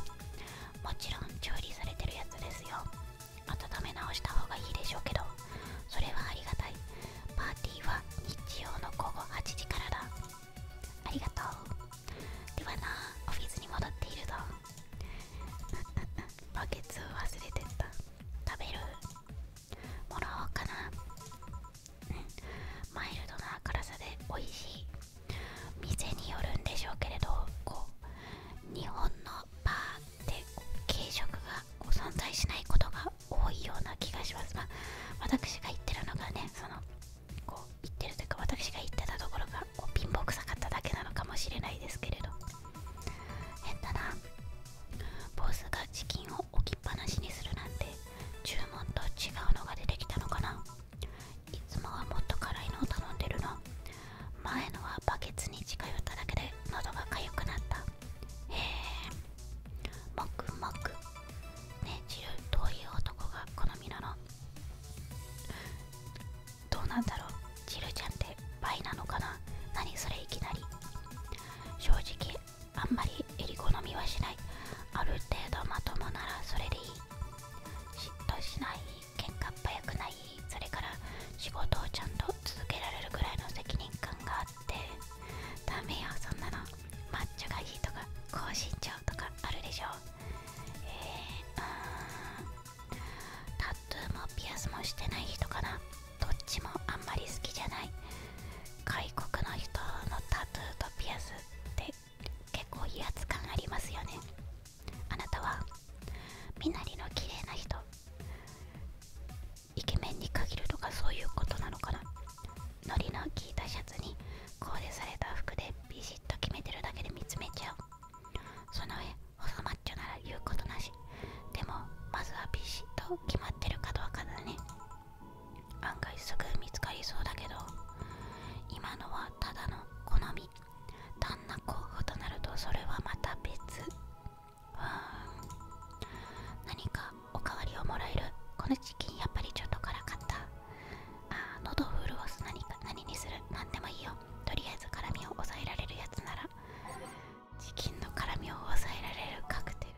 もちろん調理されてるやつですよ温め直した方がいいでしょうけどそれはありがたいパーティーは日曜の午後8時からだありがとうではなオフィスに戻っているぞ バケツ忘れてった食べるもらおうかなマイルドな辛さで美味しい店によるんでしょうけれどこう日本のバーで軽食が存在しないことが多いような気がします。ま私が言ってるのがね、その、こう、言ってるというか、私が言ってたところがこう貧乏くさかっただけなのかもしれないですけれど。変だな。ボスがチキンを置きっぱなしにするなんて、注文と違うのが出てきたのかな。いつもはもっと辛いのを頼んでるの。前のはバケツに近寄っただけで喉が痒くなった。へえもくもくねジルどういう男が好みなのどうなんだろうジルちゃんって倍なのかな何それいきなり正直あんまりえり好みはしないある程度まともならそれでいい嫉妬しない喧嘩っ早くないそれから仕事をちゃんと続けられるぐらいの責任感があっっダメよそんなのマッチョがいいとか高身長とかあるでしょえー、うんタトゥーもピアスもしてない人かなどっちもあんまり好きじゃない外国の人のタトゥーとピアスって結構威圧感ありますよねあなたは身なりの綺麗な人イケメンに限るとかそういうことなのかなノリの効いたシャツにコーデされた服でビシッと決めてるだけで見つめちゃうその上細マッチョなら言うことなしでもまずはビシッと決まってるかどうかだね案外すぐ見つかりそうだけど今のはただの好み旦那候補となるとそれはまた別う何かおかわりをもらえるこのチキンやっぱりちょっと辛かったあ喉を潤す何か何にする何でもいいよとりあえず辛みを抑えられるやつならチキンの辛みを抑えられるカクテル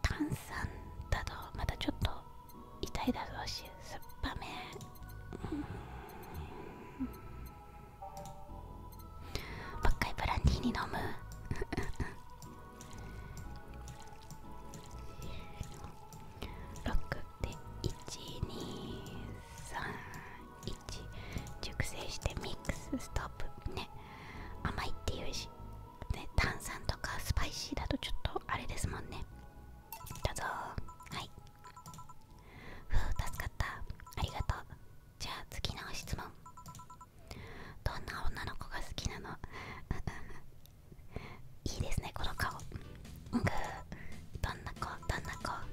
炭酸だとまたちょっと痛いだろうし酸っぱめ、うん、もう一回ブランディーに飲む6 で1231熟成してミックスストップね甘いっていうし、ね、炭酸とかスパイシーだとちょっとあれですもんねどうぞはいふう助かったありがとうじゃあ次の質問どんな女の子が好きなの いいですねこの顔グーどんな子どんな子あ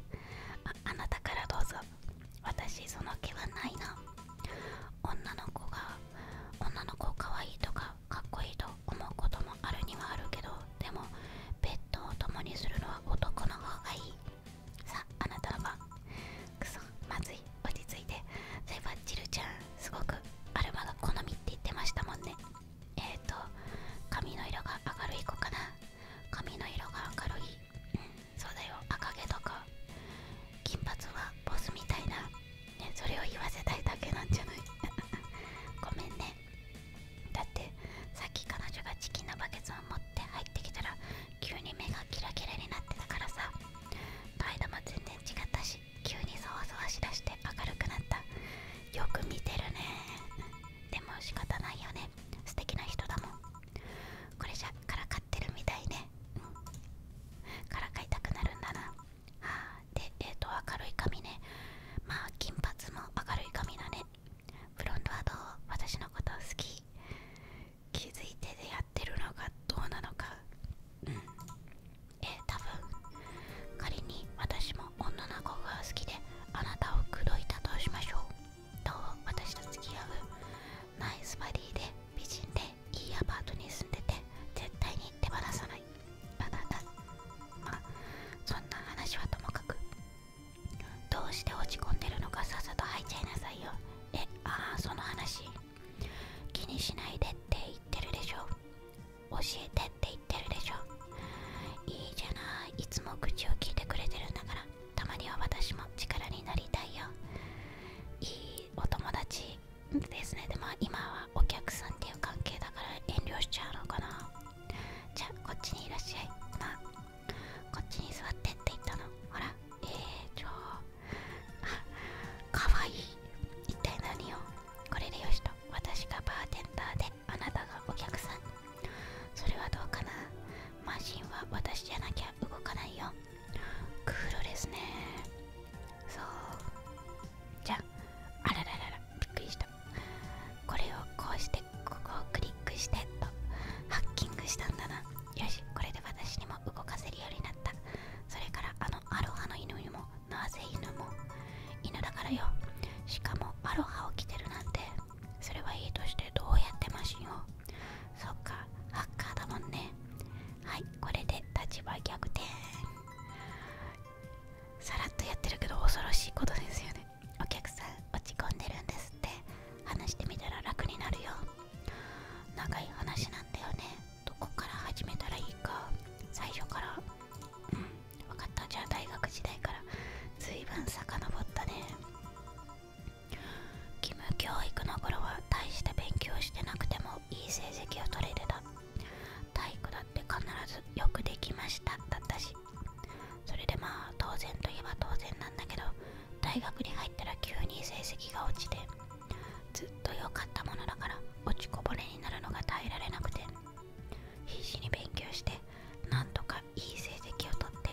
なたからどうぞ私その気はないな女の子が女の子かわいいとかかっこいいと思うこともあるにはあるけどでもベッドを共にするのは男の方がいいさああなたの番くそまずい落ち着いてそういえジルちゃんすごくアルマが好みって言ってましたもんねえっ、と髪の色が明るい子かな髪の色が明るいうんそうだよ赤毛とか金髪はボスみたいな、ね、それを言わせたいだけなんじゃない ごめんねだってさっき彼女がチキンのバケツを持って入ってきたら急に目がキラキラになってたからさ態度も全然違ったし急にそわそわしだして明るくなったよく見てるねでも仕方ないよね素敵な人だもんこれじゃからかってるみたいねからかいたくなるんだなはあでえっ、と明るい髪ねまあ金髪も明るい髪だねフロントはどう私のこと好き気づいて出会ってるのかどうなのかうんえー、多分仮に私も女の子が好きであなたを口説いたとしましょうどう私と付き合うナイスバディで美人でいいアパートに住んでて絶対に手放さないああだまあそんな話はともかくどうして落ち込んでるのかさっさと入っちゃいなさいよえああその話気にしないでって言ってるでしょ教えてって言ってるでしょいいじゃないいつも口を聞いてくれてるんだからたまには私も力になりたいよいいお友達ですねでも今はお客さんっていう関係だから遠慮しちゃうのかなじゃあこっちにいらっしゃいまあこっちに座ってって言ったのほらえー、ちょあ かわいい一体何をこれでよしと私がバーテンダーであなたがお客さんそれはどうかなマシンは私じゃなきゃ動かないよクールですねそうじゃああららららびっくりしたこれをこうしてここをクリックしてとハッキングしたんだなよしこれで私にも動かせるようになったそれからあのアロハの犬にもなぜ犬も犬だからよしかもアロハを着てるなんてそれはいいとしてどうやってマシンをそっかハッカーだもんねはいこれで立場逆転さらっとやってるけど恐ろしいことですよねお客さん落ち込んでるんですって話してみたら楽になるよ長い話なんだよねどこから始めたらいいか最初からうん分かったじゃあ大学時代からずいぶんさかのぼったね義務教育の頃は大した勉強してなくてもいい成績を取れてた体育だって必ずよくできましただったしそれでまあ当然といえば当然なんだけど大学に入ったら急に成績が落ちてずっと良かったものだから落ちこぼれになるのが耐えられなくて必死に勉強してなんとかいい成績をとって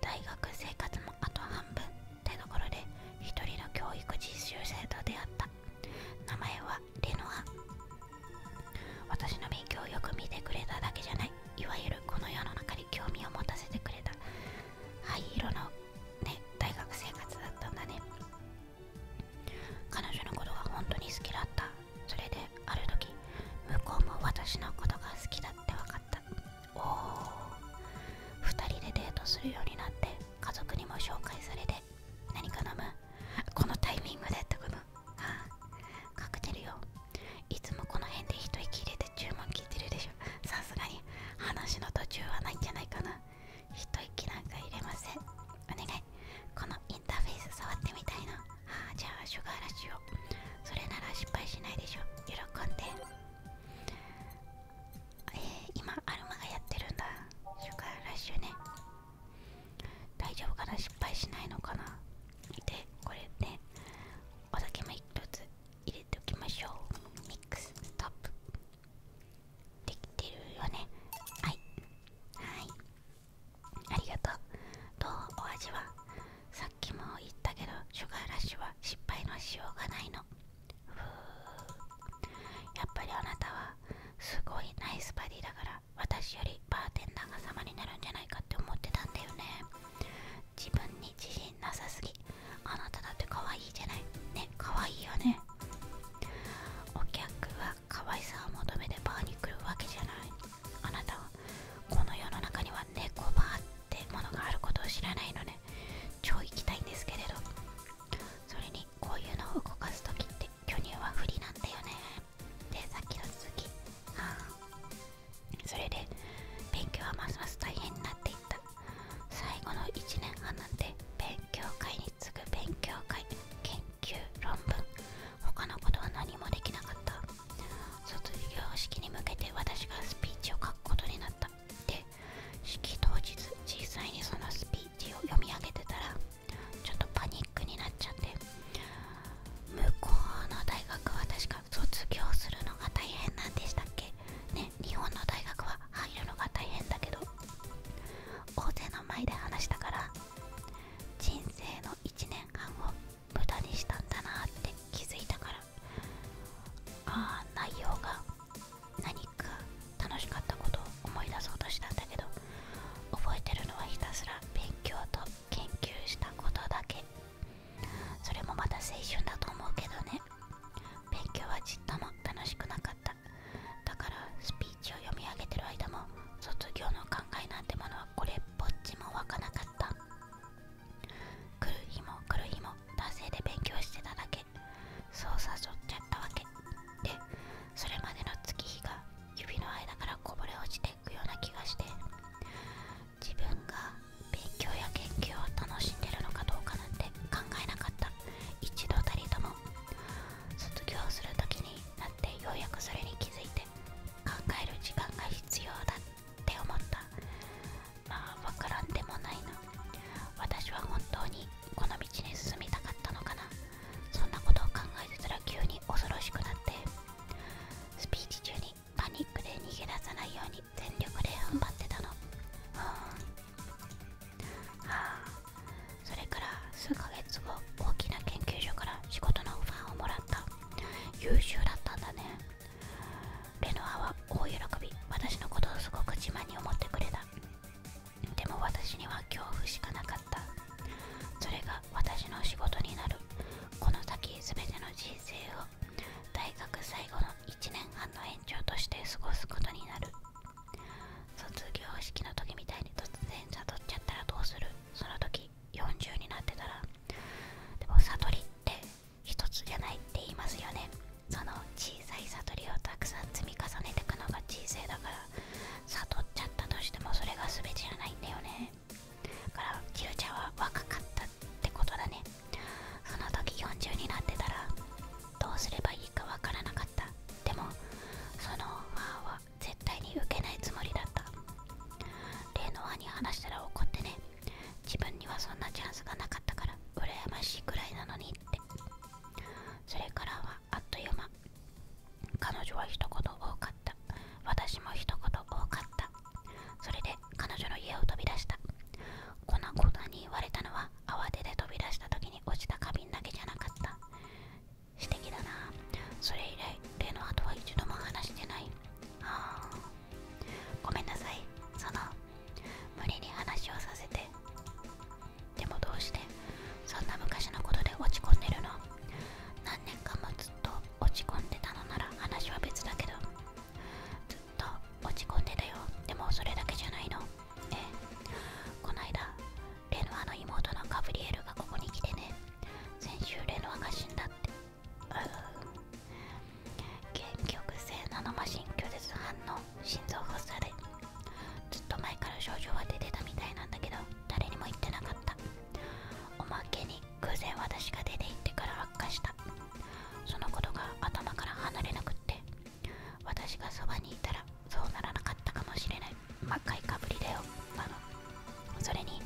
大学生活もあと半分ってところで一人の教育実習生と出会った名前はレノア私の勉強をよく見てくれただけじゃないいわゆるこの世の中に興味を持たせてくれた灰色のね大学生活だったんだね彼女のことが本当に好きだったそれである時向こうも私のことが好きだって分かったおお2人でデートするようになって家族にも紹介されて何か飲むこのタイミングでってことああカクテルよいつもこの辺で一息入れて注文聞いてるでしさすがに話の途中はないんじゃないかな一息なんか入れませんお願いこのインターフェース触ってみたいなあじゃあシュガーラッシュをそれなら失敗しないでしょ喜んでえ今アルマがやってるんだシュガーラッシュね大丈夫かな失敗しないのかな見てこれねお酒も一つ入れておきましょうミックスストップできてるよねはいはいありがとうどうお味はさっきも言ったけどシュガーラッシュは失敗のしようがないのふやっぱりあなたはすごいナイスバディだから私よりバーテンダーが様になるんじゃないかって思ってたんだよね自分に自信なさすぎあなただって可愛いじゃないね可愛いよねお客は可愛さを求めてバーに来るわけじゃないあなたはこの世の中には猫バーってものがあることを知らないので、超行きたいんですけれどそれにこういうのを動かす時って巨乳は不利なんだよねでさっきの続きはあそれで勉強はますます大変になっていった最後の1年半なんて勉強会に次ぐ勉強会研究論文他のことは何もできなかった卒業式に向けて私がスピーチを書くことになったで式当日実際にそのスピーチを読み上げてたらちょっとパニックになっちゃって向こうの大学は確か卒業するのが大変なんでしたっけね日本の大学は入るのが大変だけど大勢の前で話したから人生の1年半を無駄にしたんだなって気づいたからああ内容が何か楽しかったことを思い出そうとしたんだけど覚えてるのはひたすら勉強と研究したことだけそれもまた青春だと思うけどね勉強はちっとも楽しくなかっただからスピーチを読み上げてる間も卒業の考えなんてものはこれっぽっちもわかなかった来る日も来る日も男性で勉強してただけそう誘っちゃったわけでそれまでの月日が指の間からこぼれ落ちていくような気がして自分が勉強や研究を楽しんでるのかどうかなんて考えなかった一度たりとも卒業する時になってようやくそれに気づいて考える時間が必要だって思ったまあ分からんでもないな私は本当にこの道に進みたかったのかなそんなことを考えてたら急に恐ろしくなってスピーチ中にパニックで逃げ出さないように全力で踏ん張ってたのうんはあ、それから数ヶ月後大きな研究所から仕事のオファーをもらった優秀だったんだねレノアは大喜び私のことをすごく自慢に思ってくれたでも私には恐怖しかなかったそれが私の仕事になるこの先全ての人生を大学最後の1年半の延長として過ごすことになる卒業式の時みたいに突然悟っちゃったらどうするその時40になってたらでも悟りって1つじゃないって言いますよねその小さい悟りをたくさん積み重ねていくのが人生だから悟っちゃったとしてもそれが全てじゃないんだよねだからキルちゃんは若かったってことだねその時40になってたらどうすればいいかわからなかったでもそのオは絶対に受けないつもりだった例の兄に話したら怒ってね自分にはそんなチャンスがなかったから羨ましいくらいなのにってそれからはあっという間彼女は一言多かった私も一言多かったそれで彼女の家を飛び出したこんなこに言われたのは慌てて飛び出した時に落ちた花瓶だけじゃなかった素敵だなそれ以来例の後は一度も話してないああごめんなさいその無理に話をさせてでもどうしてそんな昔のことで落ち込んでるの何年間もずっと落ち込んでたのなら話は別だけどずっと落ち込んでたよでもそれだけじゃないのえこないだレノアの妹のガブリエルがここに来てね先週レノアが死んだってうん。結局性ナノマシン拒絶反応心臓発作でずっと前から症状は出てたみたいなんだけど誰にも言ってなかったおまけに偶然私が出て行ってから悪化したそのことが頭から離れなくって私がそばにいたらそうならなかったかもしれない真っ赤いかぶりだよあのそれに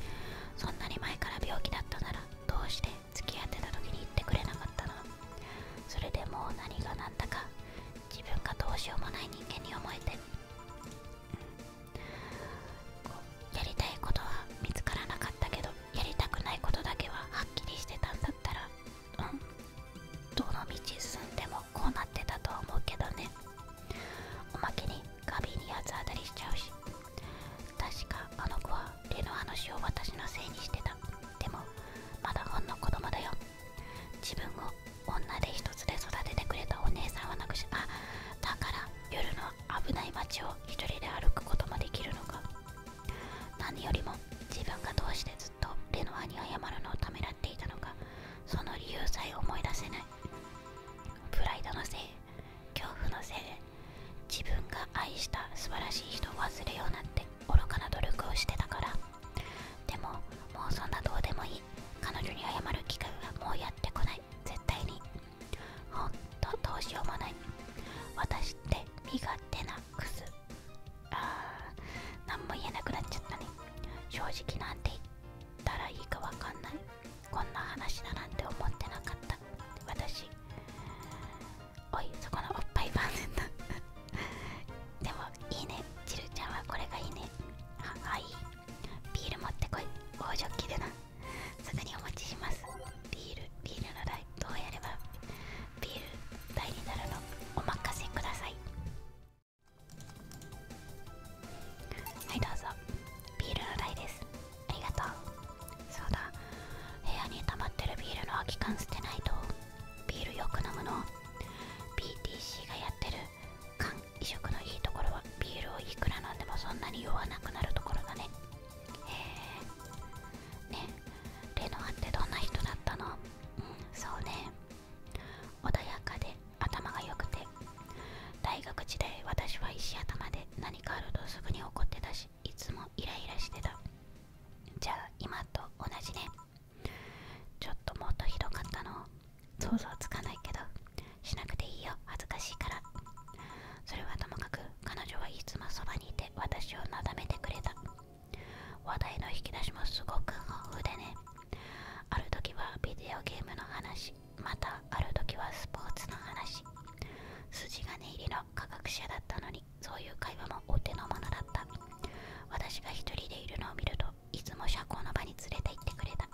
そんなに前から病気だったならどうして付き合ってた時に言ってくれなかったのそれでもう何が何だか自分がどうしようもない人間に思えて、こうやりたいことは見つからなかったけどやりたくないことだけははっきりしてたんだったらんどの道進んでもこうなってたとは思うけどねおまけにガビに八つ当たりしちゃうし確かあの子はレノアの死を私のせいにしてたでもまだほんの子供だよ自分を女で一つで育ててくれたお姉さんはなくしあだから夜の危ない街を一人で歩くこともできるのか何よりも自分がどうしてずっとレノアに謝るのをためらっていたのかその理由さえ思い出せないプライドのせい恐怖のせいで自分が愛した素晴らしい人を忘れようなって愚かな努力をしてたからでももうそんなどうでもいい彼女に謝る機会はもうやってこない絶対にほんとどうしようもない私って身勝手なクズあー何も言えなくなっちゃったね正直なんて言ったらいいかわかんないこんな話だなんて思ってなかった私おいそこのおっぱいファンセントでもいいねちるちゃんはこれがいいねははいビール持ってこい大ジョッキでなすぐにお持ちしますビールビールの代どうやればビール代になるのお任せくださいはいどうぞビールの代ですありがとうそうだ部屋に溜まってるビールの空き缶捨てないとビールよく飲むの BTC がやってる缶移植のいいところはビールをいくら飲んでもそんなに酔わなくなるところだねへえねレノアってどんな人だったのうんそうね穏やかで頭が良くて大学時代私は石頭で何かあるとすぐに怒ってたしいつもイライラしてたじゃあ今と同じねちょっともっとひどかったの想像つかないけどしなくていいよ恥ずかしいからそれはともかく彼女はいつもそばにいて私をなだめてくれた話題の引き出しもすごく豊富でねある時はビデオゲームの話またある時はスポーツの話筋金入りの科学者だったのにそういう会話もお手の物だった私が一人でいるのを見るといつも社交の場に連れて行ってくれた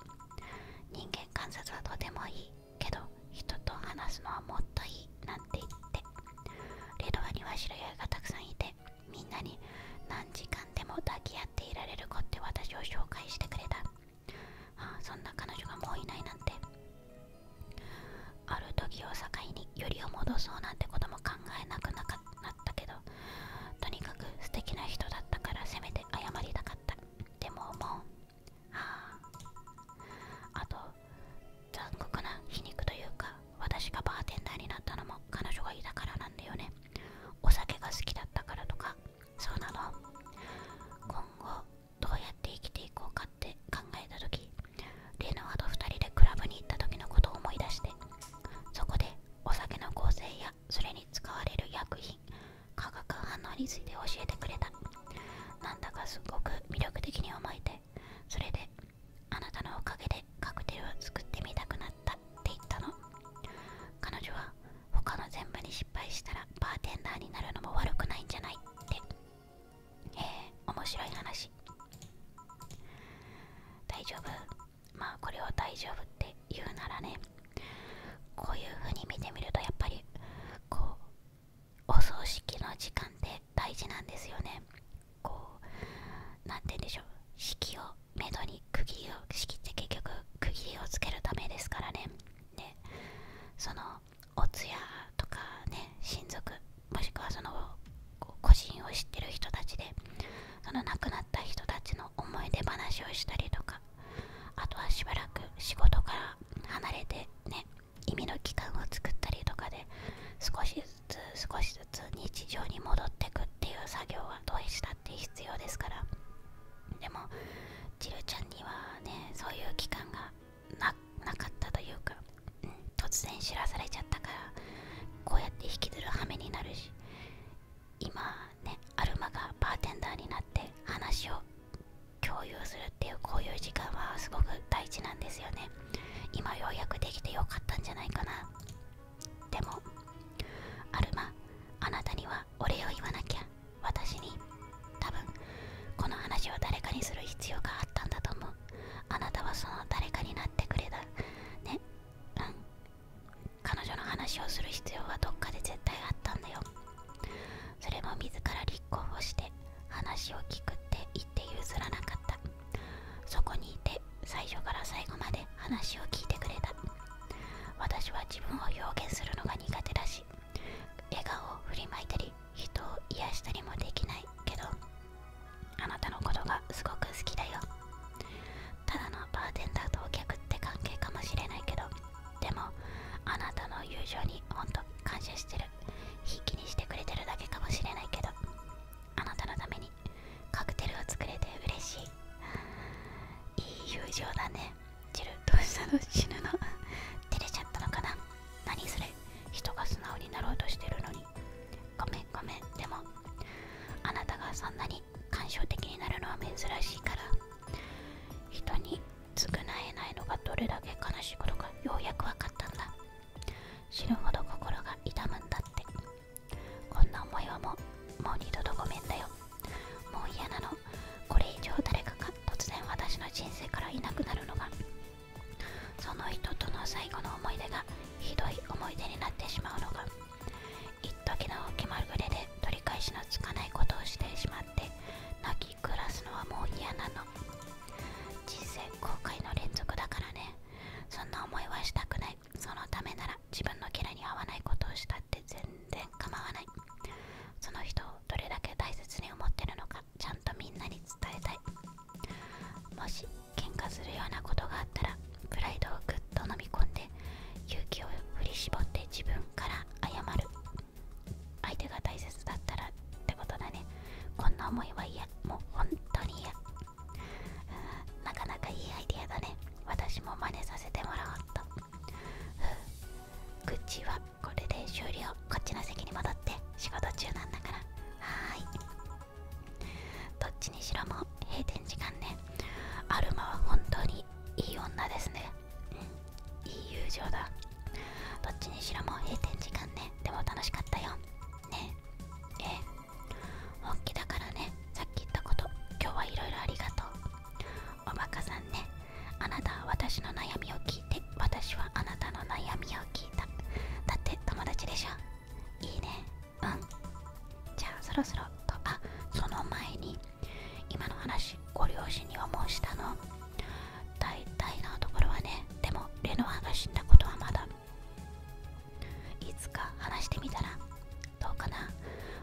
人間観察はとてもいいけど人と話すのはもっといいなんて言ってレドアには知り合いがたくさんいてみんなに何時間でも抱き合っていられる子って私を紹介してくれた、そんな彼女がもういないなんてある時を境によりを戻そうなんてことも考えなくなかったけどとにかく素敵な人だったからせめて謝りたかったでももうあと残酷な皮肉というか私がバーテンダーになったのも彼女がいたからなんだよねお酒が好きだったからとかそうなの今後どうやって生きていこうかって考えた時レノアと2人でクラブに行った時のことを思い出してそこでお酒の構成やそれに使われる薬品化学反応について教えてくれたなんだかすごく魅力的に思えてそれであなたのおかげでカクテルを作ってみたくなったって言ったの彼女は他の全部に失敗したらバーテンダーになるのも悪くないんじゃないってえ面白い話大丈夫まあこれを大丈夫って言うならねこういう風に見てみるとやっぱりこうお葬式の時間って大事なんですよねこう何て言うんでしょう式をめどに釘切りを式って結局釘をつけるためですからねでそのお通夜とかね親族もしくはその個人を知ってる人たちでその亡くなった人たちの思い出話をしたりとかあとはしばらく仕事から離れてね意味の期間を作ったりとかで少しずずつ少しずつ日常に戻ってくっていう作業はどうしたって必要ですからでもちるちゃんにはねそういう期間がなかったというか、突然知らされちゃったからこうやって引きずる羽目になるし今ねアルマがバーテンダーになって話を共有するっていうこういう時間はすごく大事なんですよね今ようやくできてよかったんじゃないかなでもアルマあなたにはお礼を言わなきゃ私に多分この話を誰かにする必要があったんだと思うあなたはその誰かになってくれたね彼女の話をする必要はどっかで絶対あったんだよそれも自ら立候補して話を聞くって言って譲らなかったそこにいて最初から最後まで話を聞いてくれた私は自分を表現するのが苦手だし笑顔を振りまいたり人を癒したりもできないけどあなたのことがすごく好きだよただのバーテンダーとお客って関係かもしれないけどでもあなたの友情にほんと感謝してる筆記にしてくれてるだけかもしれないけどあなたのためにカクテルを作れて嬉しいいい友情だねジルどうしたの死ぬの照れちゃったのかな何それ人が素直になろうとしてるのにごめんごめんでもあなたがそんなに感傷的になるのは珍しいから人に償えないのがどれだけ悲しいことかようやくわかったんだ死ぬほど心が痛むんだってこんな思いはもう二度とごめんだよもう嫌なのこれ以上誰かが突然私の人生からいなくなるのがその人との最後の思い出がひどい思い出になってしまうのが一時の気まぐれで取り返しのつかないことをしてしまって泣き暮らすのはもう嫌なの人生後悔の連続だからねそんな思いはしたくないそのためなら自分のキャラに合わないことをしたって全然構わないその人をどれだけ大切に思ってるのかちゃんとみんなに伝えたいもし喧嘩するようなことがあったらプライドをぐっと飲み込んで勇気を振り絞って自分から謝る相手が大切だったらってことだねこんな思いは嫌もう本当に嫌なかなかいいアイディアだね私も真似させてもらおうとふう口はこれで終了こっちの席に戻って仕事中なんだからはいどっちにしろも閉店時間ねアルマは本当にいい女ですねいい友情だどっちにしろも閉店時間ねでも楽しかったよねええ本気だからねさっき言ったこと今日はいろいろありがとうおバカさんねあなたは私の悩みを聞いて私はあなたの悩みを聞いただって友達でしょいいねうんじゃあそろそろとあその前に今の話ご両親にはもうしたの大体のところはねでもレノアが死んだことはまだいつか話してみたらどうかな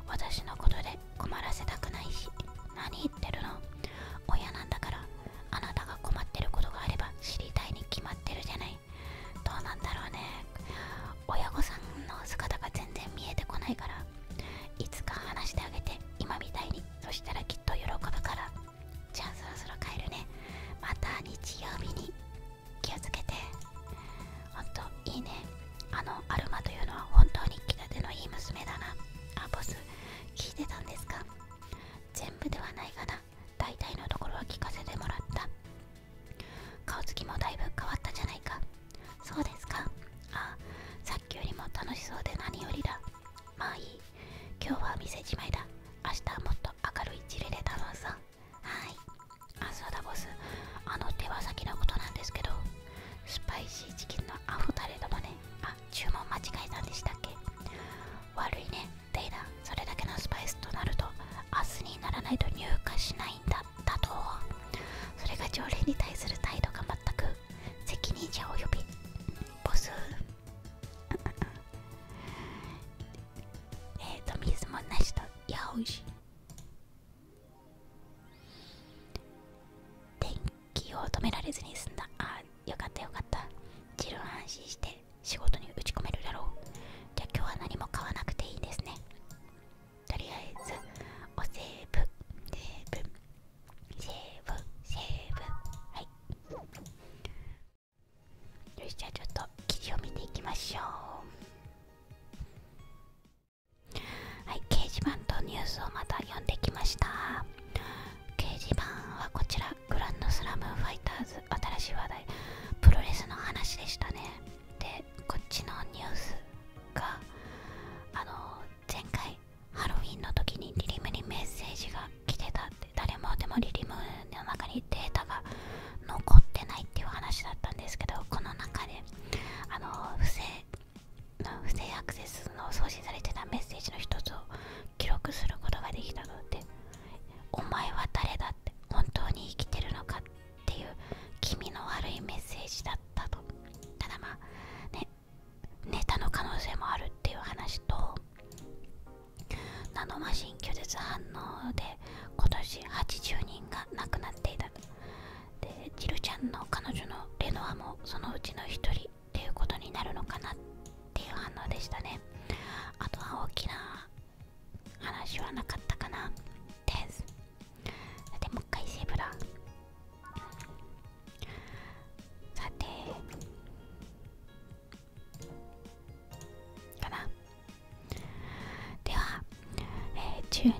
私のことで困らせたくないし何言ってるの親なんだからあなたが困ってることがあれば知りたいに決まってるじゃないどうなんだろうね親御さんの姿が全然見えてこないからいつか話してあげて今みたいにそしたらきっと喜ぶからじゃあそろそろ帰るねまた日曜日に気をつけてほんといいねあのアルマというのは本当に気立てのいい娘だなあボス聞いてたんですか全部ではないがな大体のところは聞かせてもらった顔つきもだいぶ変わったじゃないかそうですかあさっきよりも楽しそうで何よりだまあいい今日は店じまいだ明日はもっと明るいチルで頼むさはいあそうだボスあの手羽先のことなんですけどスパイシーチキンのアフタレドもねあ注文間違えたんでしたっけ悪いねデイダそれだけのスパイスとなると明日にならないと入荷しないんだだとそれが条例に対する態度が全く責任者を呼びボス えっと水もなしとやおいしい。電気を止められずに済んだああよかったよかった自分は安心して仕事に打ち込めるだろうじゃあ今日は何も買わなくていいですねとりあえずおセーブセーブセーブセーブはいよしじゃあちょっと記事を見ていきましょうはい、掲示板とニュースをまた読んできました。掲示板はこちら、グランドスラムファイターズ、新しい話題、プロレスの話でしたね。で、こっちのニュースが、あの、前回、ハロウィンの時にリリムにメッセージが来てたって、誰もでもリリムの中にデータが残ってないっていう話だったんですけど、この中であの不正不正アクセスの送信されてたメッセージの一つを記録することができたので、お前は誰だって本当に生きてるのかっていう気味の悪いメッセージだったとただまあねネタの可能性もあるっていう話とナノマシン拒絶反応で今年80人が亡くなっていたでジルちゃんの彼女のレノアもそのうちの一人っていうことになるのかなっていう反応でしたねあとは大きな話はなかったかなですでもう一回セーブださてかなではえ12月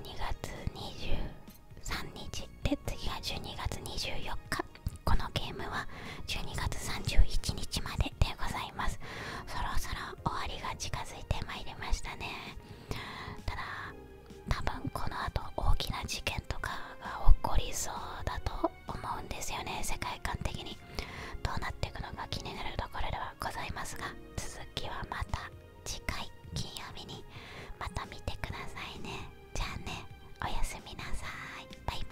23日で次が12月24日このゲームは12月31日まででございますそろそろ終わりが近づいてまいりましたねただ多分この後大きな事件とかが起こりそうだと思うんですよね世界観的にどうなっていくのか気になるところではございますが続きはまた次回金曜日にまた見てくださいねじゃあねおやすみなさいバイバーイ